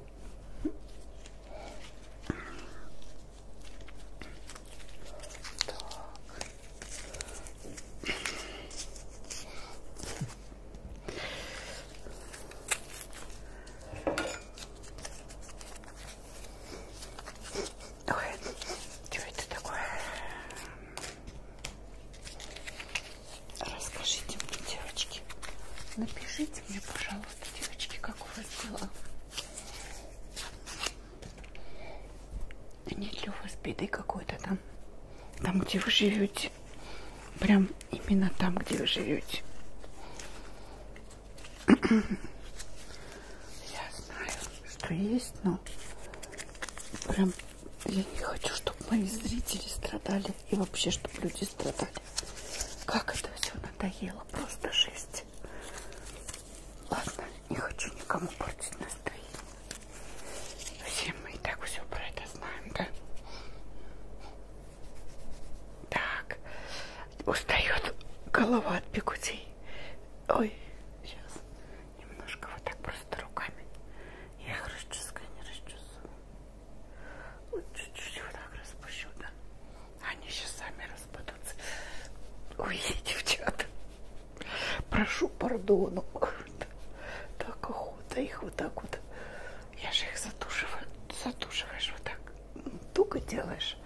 S1: Так. Ой, что это такое? Расскажите мне, девочки. Напишите мне, пожалуйста, девочки, как у вас дела. Нет ли у вас беды какой-то там? Там, где вы живете. Прям именно там, где вы живете. Я знаю, что есть, но прям я не хочу, чтобы мои зрители страдали и вообще, чтобы люди страдали. Как это все надоело, просто жесть. Ладно, не хочу никому портить настроение. Все мы и так все про это знаем, да? Так, устает голова от бегудей. Ой, сейчас немножко вот так просто руками. Я их расческаю, не расчесываю. Вот чуть-чуть вот так распущу, да. Они сейчас сами распадутся. Ой, девчата. Прошу пардону. Так охота их вот так вот. Я же их затушиваю. Затушиваешь вот так туго делаешь,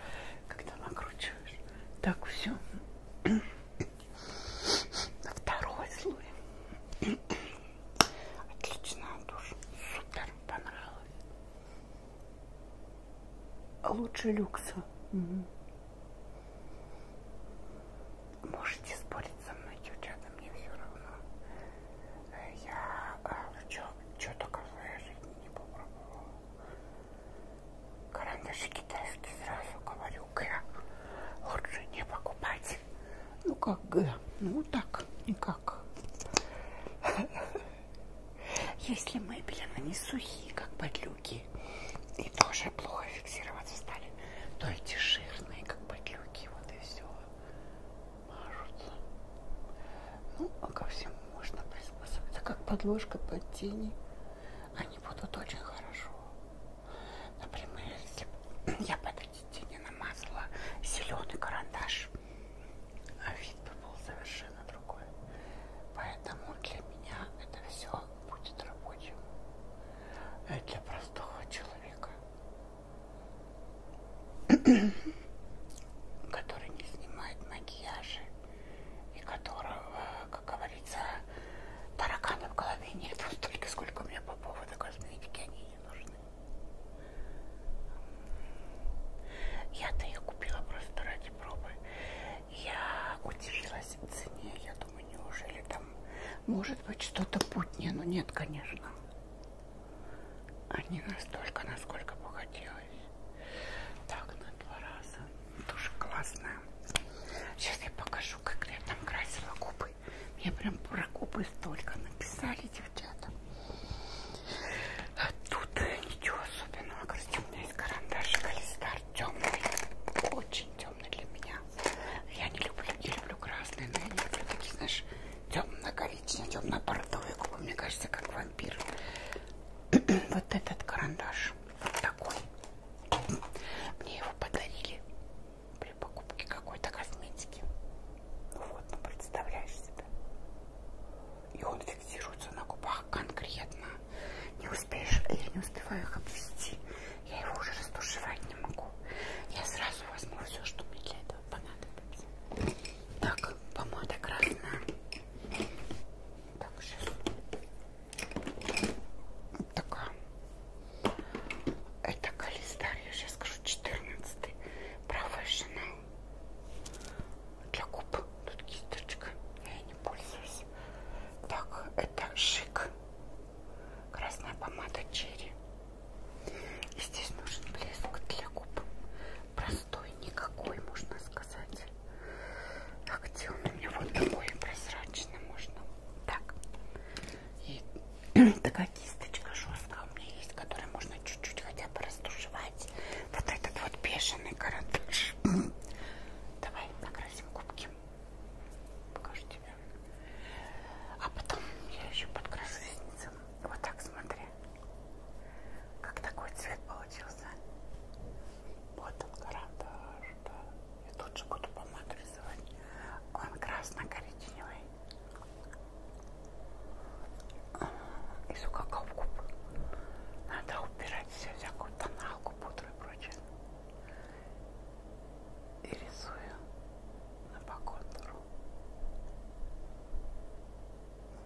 S1: когда накручиваешь. Так все. На второй слой. Отлично, душ. Супер, понравилось. Лучше люкса. Угу. Можете спорить со мной, девчата, мне все равно. Я, ну чё, чё только в своей жизни не попробовала. Карандаши китайские, сразу говорю, Г. Лучше не покупать. Ну как Г? Ну так, никак. Если мебель, она не сухие, как подлюки, и тоже плохо фиксироваться стали, то эти жирные, как подлюки, вот и все мажутся. Ну, а ко всему можно приспособиться, как подложка под тени. Они будут очень хорошо. Например, если я под эти тени намазала зеленый карандаш, а вид бы был совершенно другой. Поэтому для меня это все будет рабочим. Э, для простого человека который не снимает макияжа и которого, как говорится, таракана в голове нет столько, сколько у меня по поводу косметики, они не нужны. Я-то ее купила просто ради пробы. Я удивилась цене, я думаю, неужели там может быть что-то путнее, но ну, нет, конечно а не настолько, насколько бы хотелось. Так, на два раза. Тоже классная. Сейчас я покажу, как я там красила губы. Мне прям про губы столько написали, девчата. А тут э, ничего особенного. Короче, у меня есть карандашик Алистар темный. Очень темный для меня. Я не люблю, я люблю красные, но я не люблю такие, знаешь, темно-коричневый, темно-бордовый губы, мне кажется, как вампир. вот этот карандаш, вот такой. Мне его подарили при покупке какой-то косметики. Ну вот, ну представляешь себе. И он фиксируется на губах конкретно. Не успеешь, я не успеваю их обвести. Я его уже растушевать не могу. Я сразу возьму все, что мне для этого понадобится. Так, помада красная. Так, сейчас. Вот такая. Это калистарь, я сейчас скажу, 14 Professional. Для губ. Тут кисточка. Я не пользуюсь. Так, это шик. Красная помада черри. И здесь нужен блеск для губ простой, никакой, можно сказать. А где он у меня? Вот такой прозрачный можно. Так. И такая кисточка жесткая у меня есть, которую можно чуть-чуть хотя бы растушевать. Вот этот вот бешеный карандаш. Давай накрасим губки. Покажу тебе. А потом я еще подкрашу ресницы. Вот так смотри. Как такой цвет получился? Вот он карандаш, да. Я тут же буду помаду рисовать. Он красно-коричневый. И сукаков губ. Надо убирать все, всякую тоналку, пудру и прочее. И рисую на по контуру.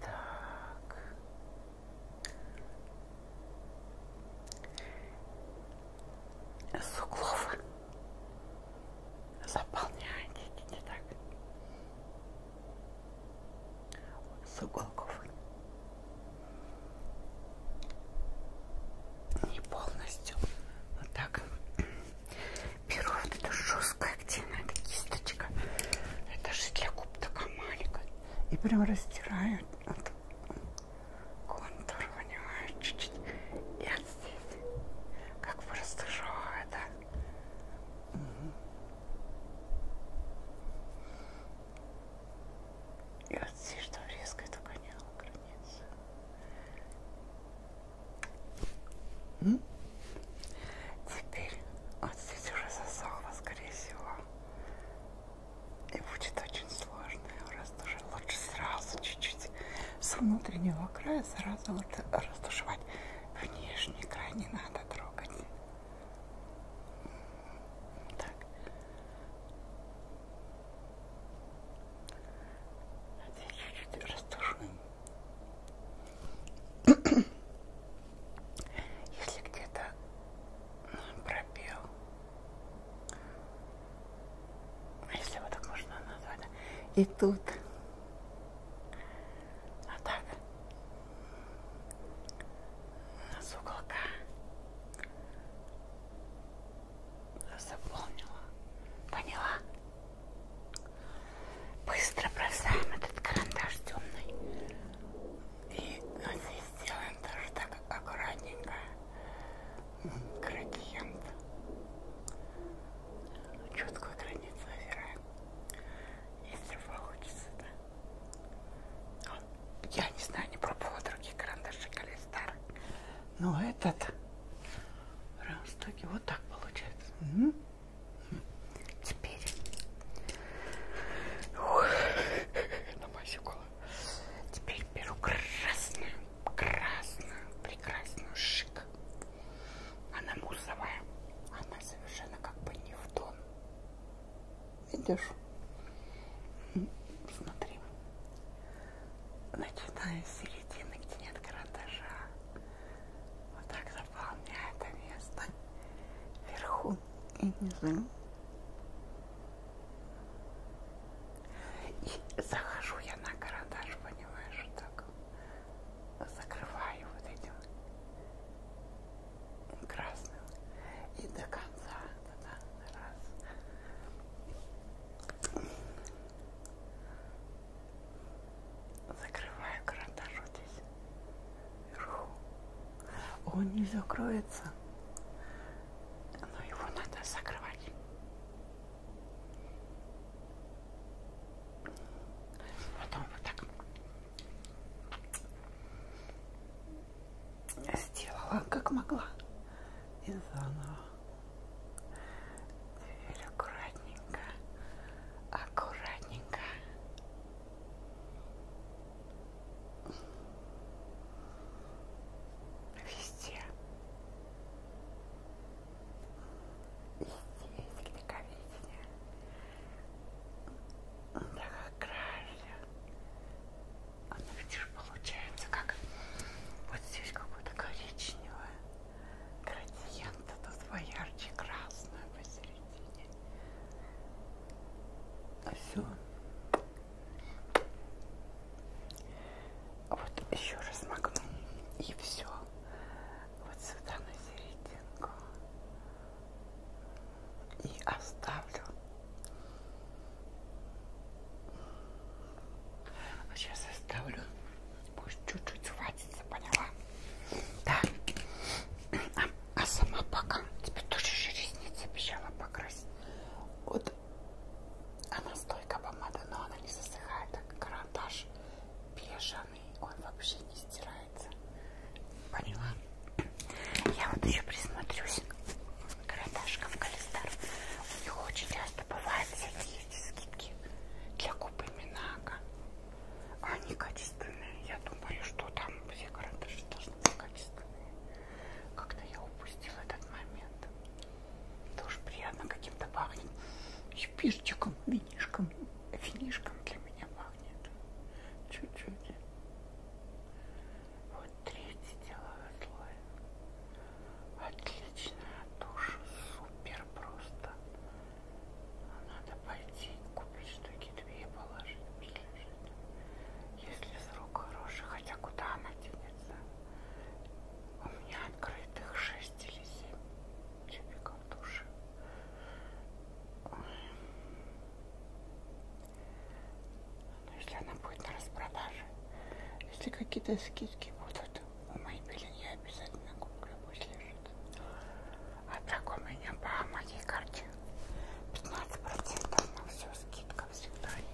S1: Так. С углов заполняйте, не так. С уголков не полностью вот так беру вот эту жесткая активная кисточка это же для губ такая маленькая и прям растираю вот, контур понимаешь чуть-чуть и вот здесь как бы растужеваю да угу. и вот здесь что резкой только не огрызаю М? Теперь он здесь уже засохло, скорее всего. И будет очень сложно, растуши. Лучше сразу чуть-чуть с внутреннего края сразу лучше растушевать. Внешний край не надо трогать. Так. Это чуть-чуть растушуем. Если где-то пробел, если его так можно назвать, и тут, а так, с уголка Запомнила. Поняла? Быстро бросаем этот карандаш темный. И ну, здесь сделаем тоже так аккуратненько. Градиент. Четкую границу выбираем. Если получится, да. Я не знаю, не пробовала другие карандаши, или старые. Но этот... Раз, так и вот так получается. Угу. Теперь Ух, намазикула. Теперь беру красную, красную, прекрасную шик. Она мусовая. Она совершенно как бы не в тон. Видишь? Смотри начиная с середины, где нет карандаша. Вот так заполняю это место вверху и низу. И захожу я на карандаш, понимаешь, вот так закрываю вот этим красным и до конца. Да -да, раз. Закрываю карандаш вот здесь. Вверху. Он не закроется. Но его надо закрывать. Потом вот так сделала, как могла и заново. Теперь аккуратненько, аккуратненько. Везде. Везде великовидение. Так аккуратно она, видишь, получается, как вот здесь какой-то коричневый градиент, а тут поярче красную посередине. Все. Вот еще раз магну и все. Вот сюда на серединку. И оставлю Сейчас ну, оставлю. Пусть чуть-чуть хватится, поняла? Да. А, а сама пока. Тебе тоже же ресницы обещала покрасить. Вот. Она стойка помада, но она не засыхает. Так карандаш бежаный. Он вообще не стирается. Поняла? Я вот еще присмотрюсь карандашков Калистар. У них очень часто бывают всякие эти скидки для купы Минака. Они качественные. Я думаю, что там все карандаши должны быть качественные. Как-то я упустила этот момент. Тоже приятно каким-то пахнет щепишечком, винишком. Винишком для меня пахнет. Чуть-чуть. Вот третий деловой слой. Отличная душа, супер просто. Надо пойти купить штуки две и положить, пусть лежит. Если срок хороший, хотя куда она денется? У меня открытых 6 или 7 тюбиков души. Но ну, если она будет на распродаже, если какие-то скидки будут, у Maybelline я обязательно куплю, пусть лежит. А так у меня по моей карте 15% на все скидка всегда есть.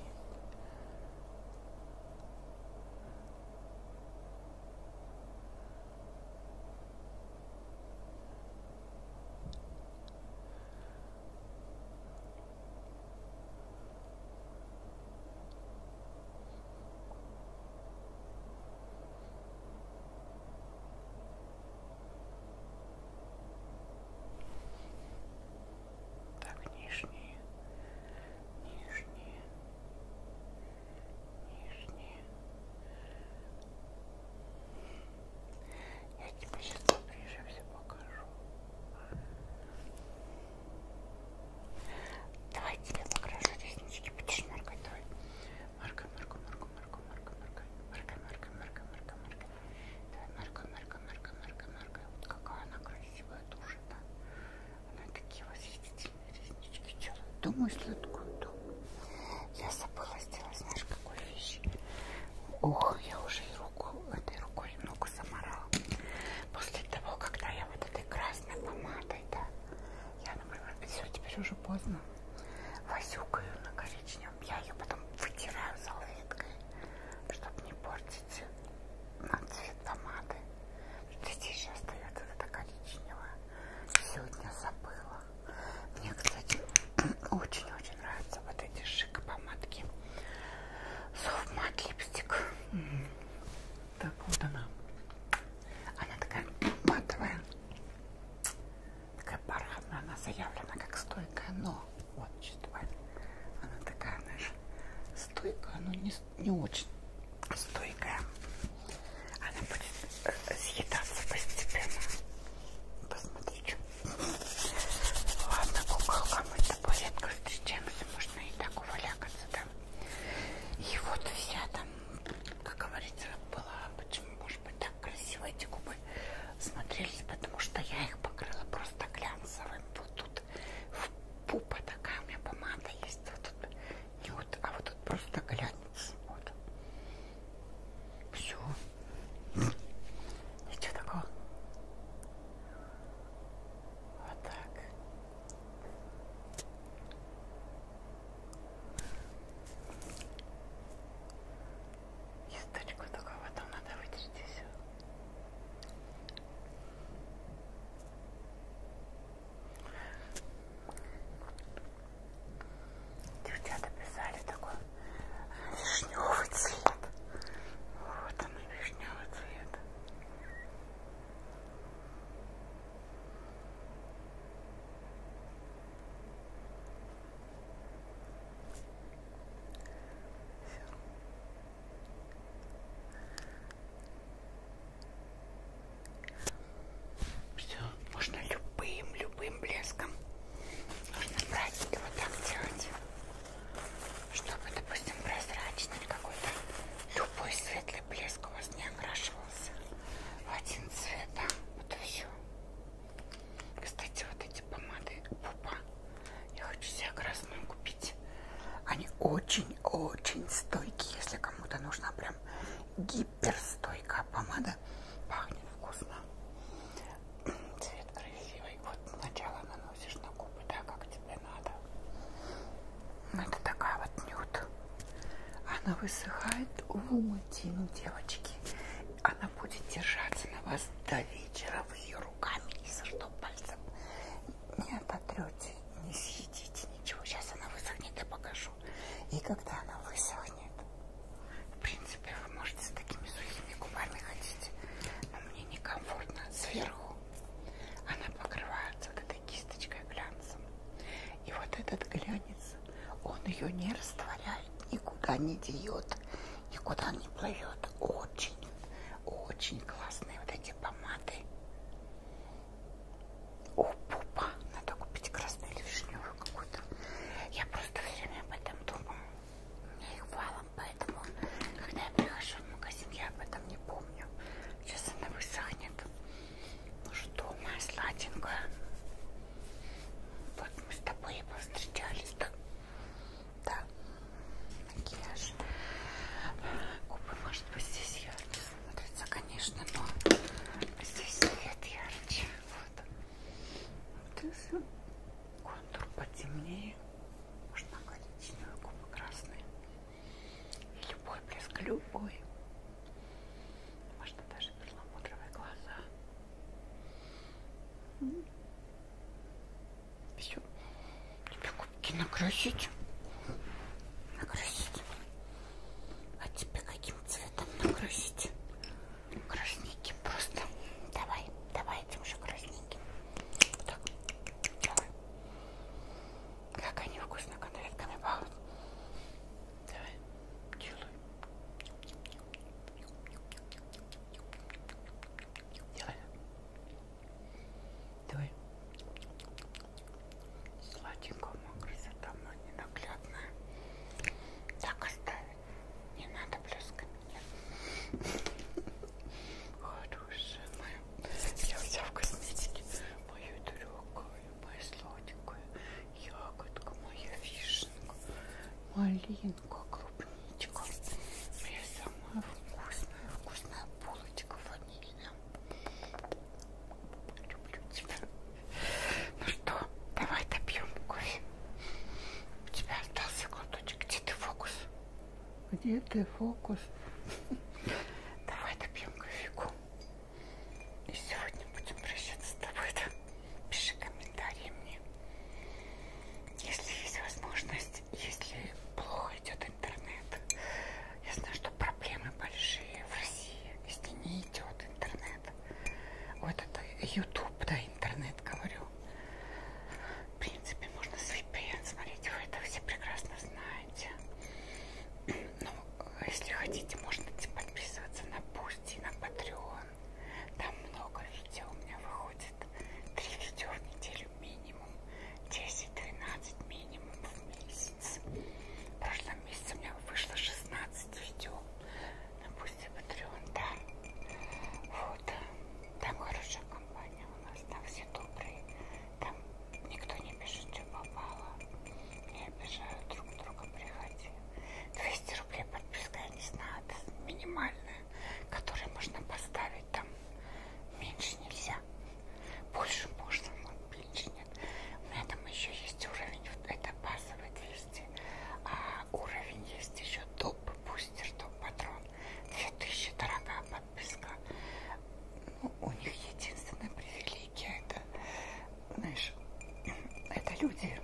S1: Так, нижние, нижние, нижние. Я тебе сейчас поближе все покажу. Давайте я покрашу реснички. Будешь моркать? Давай. Марка, марка, марка, марка, марка, марка. Марка, марка, марка, марка, марка. Давай, марка, марка, марка, марка, марка. Вот какая она красивая душа, да? Она такие восхитительные реснички делает. Думаю, сладкую думаю. Я забыла сделать, знаешь, какой вещи. Ох, я уже и руку, этой рукой немного заморала. После того, когда я говоря, вот этой красной помадой, да. Я, например, все, теперь уже поздно. Возюкаю на коричневом. Я ее потом вытираю салфеткой, чтобы не портить на цвет помады. Здесь еще остается вот эта коричневая. Сегодня забыла. Мне, кстати, очень-очень нравятся вот эти шик помадки. Софт мат липстик. Mm -hmm. Так, вот она. Она такая матовая. Такая бархатная. Она заявлена как стойкая, но... Вот, чувствовать. Она такая, знаешь, стойкая, но не, не очень стойкая. Она будет э, съедаться постепенно. Посмотрите. Ладно, куколка, мы с тобой редко встречаемся. Можно и так увалякаться да. И вот вся там, как говорится, была, почему, может быть, так красиво эти губы смотрелись, потому что я их покрыла просто глянцевым. Вот тут пупа такая у меня помада есть, вот тут не вот, а вот тут просто глянец. Вот. Все. Ничего такого. Вот так. Кисточку только потом надо вытереть и все. Девчата писали такой вишневый цвет. Вот он вишневый цвет. Все, можно любым, любым блеском. Нужно брать и вот так делать чтобы, допустим, прозрачный или какой-то любой светлый блеск у вас не окрашивался в один цвет, да? Вот и все. Кстати, вот эти помады Пупа, я хочу себе красную купить. Они очень-очень стойкие, если кому-то нужна прям гиперстойкая помада. Пахнет вкусно. Цвет красивый. Вот сначала наносишь на губы, да, как тебе надо. Но ну, это такая вот нюд. Она высыхает в умытину, девочки. Она будет держаться на вас до вечера. Вы ее руками, если что, пальцем не ототрете, не съедите ничего. Сейчас она высохнет, я покажу. И когда она высохнет, в принципе, вы можете с такими сухими губами ходить. Но мне некомфортно сверху она покрывается вот этой кисточкой глянцем. И вот этот глянец, он ее не растворяет, никуда не деет, никуда не плывет. Очень, очень классные вот эти помады. О, пупа, надо купить красную или вишневую какую-то. Я просто все время об этом думаю. У меня их валом, поэтому, когда я прихожу в магазин, я об этом не помню помню. Сейчас она высохнет. Ну что, моя сладенькая. Вот мы с тобой и повстречались, да? Да. Макияж. Губы, может быть, здесь ярче смотрятся, конечно, но здесь свет ярче. Вот. вот контур потемнее. Можно коричневые губы красные. И любой блеск, любой. Можно даже перламутровые глаза. Все. Тебе губки накрасить. Накрасить. А тебе каким цветом накрасить? Красненьким просто. Давай, давай этим же красненьким. Вот так. Давай. Как они вкусно конфетками пахнут. Давай, чилуй. Делай. Давай. Сладенькому красота моя ненаглядная. Так оставить. Не надо плескать. Нет. Хорошая моя я вся в косметике. Мою трюкаю, мою сладенькую ягодку, моя вишенка, малинка, клубничка. Моя самая вкусная, вкусная булочка ванильная. Люблю тебя. Ну что, давай допьем кофе. У тебя остался глоточек. Где ты фокус? Где ты, фокус? Давай допьем кофейку. И сегодня будем прощаться с тобой. Да? Пиши комментарии мне. Если есть возможность, если плохо идет интернет. Я знаю, что проблемы большие в России, если не идет интернет. Вот это YouTube, да, интернет говорю. В принципе, можно с VPN смотреть, вы это все прекрасно знаете. Ну, если хотите, можно типа, подписываться на Пусти, на Patreon. Там много видео у меня выходит. Три видео в неделю минимум. 10-12 минимум в месяц. В прошлом месяце у меня вышло 16 видео. На Пусти, Patreon, да. Вот. Там хорошая компания у нас там все добрые. Там никто не пишет, что попало. Не обижают друг друга, приходи. 200 рублей подписка, я не знаю, это минимальная, которую можно поставить там. Меньше нельзя. Больше можно, но меньше нет. У меня там еще есть уровень, это базовый 200, а уровень есть еще топ-бустер, топ-патрон. 2000, дорогая подписка. Ну, у них единственная привилегия, это, знаешь, это люди,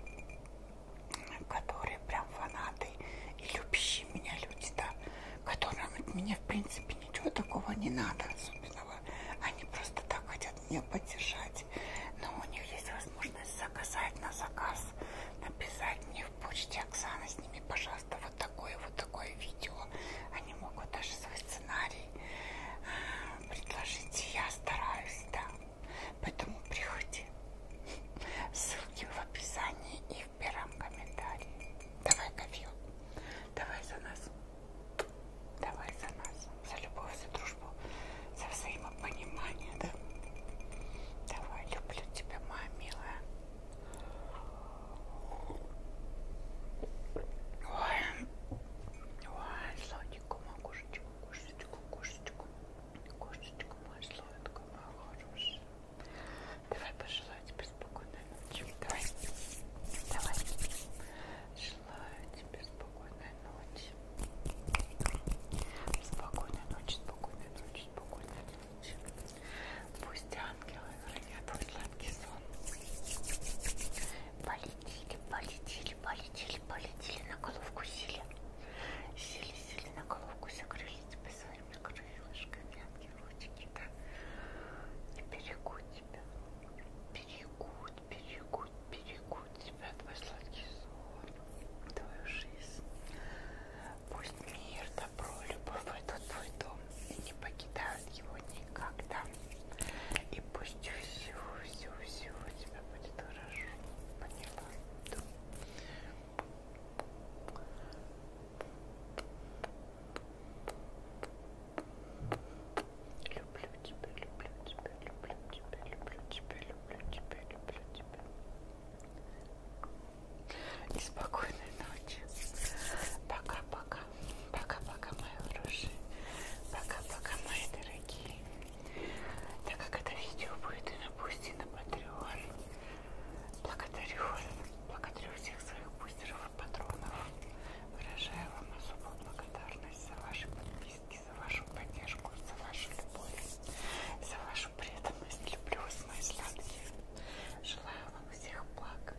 S1: которые прям фанаты и любящие меня люди, да, которым от меня, в принципе, ничего такого не надо особенного. Они просто так хотят меня поддержать. Но у них есть возможность заказать на заказ, написать мне в почте Оксана, сними, пожалуйста, вот такое вот такое видео. Они могут даже свой сценарий э, предложить. Я стараюсь, да. Поэтому приходи. Ссылки в описании и в первом комментарии. Давай кофе. Давай за нас. Давай за нас. За любовь, за дружбу, за взаимопонимание, да? Давай, люблю тебя, моя милая. Ой, ой, сладенько, моя кошечка, кошечка, кошечка, кошечка моя сладкая, моя хорошая. Давай пожелаю тебе спокойной ночи. Давай, давай. Желаю тебе спокойной ночи. Спокойной ночи, спокойной ночи, спокойной ночи ночь. Пусть ангелы хранят вам сладкий сон. Полетели, полетели, полетели, полетели на головку сели. Сели, сели на головку, закрыли тебя своими крылышками, ангелочки, да? И берегут тебя. Берегут, берегут, берегут тебя, твой сладкий сон, твою жизнь. Пусть мир да добро и любовь в этот твой дом и не покидают его никогда. И пусть всего-всего-всего у тебя будет хорошо. Поняла? Да. Люблю тебя, люблю тебя, люблю тебя, люблю тебя, люблю тебя, люблю тебя. И спокойной ночи. Пока-пока. Пока-пока, мои хорошие. Пока-пока, мои дорогие. Так как это видео будет и на Бусти, и на Патреон, благодарю вас. Благодарю всех своих бустеров и патронов. Выражаю вам особую благодарность за ваши подписки, за вашу поддержку, за вашу любовь, за вашу преданность. Люблю вас, мои сладкие. Желаю вам всех благ.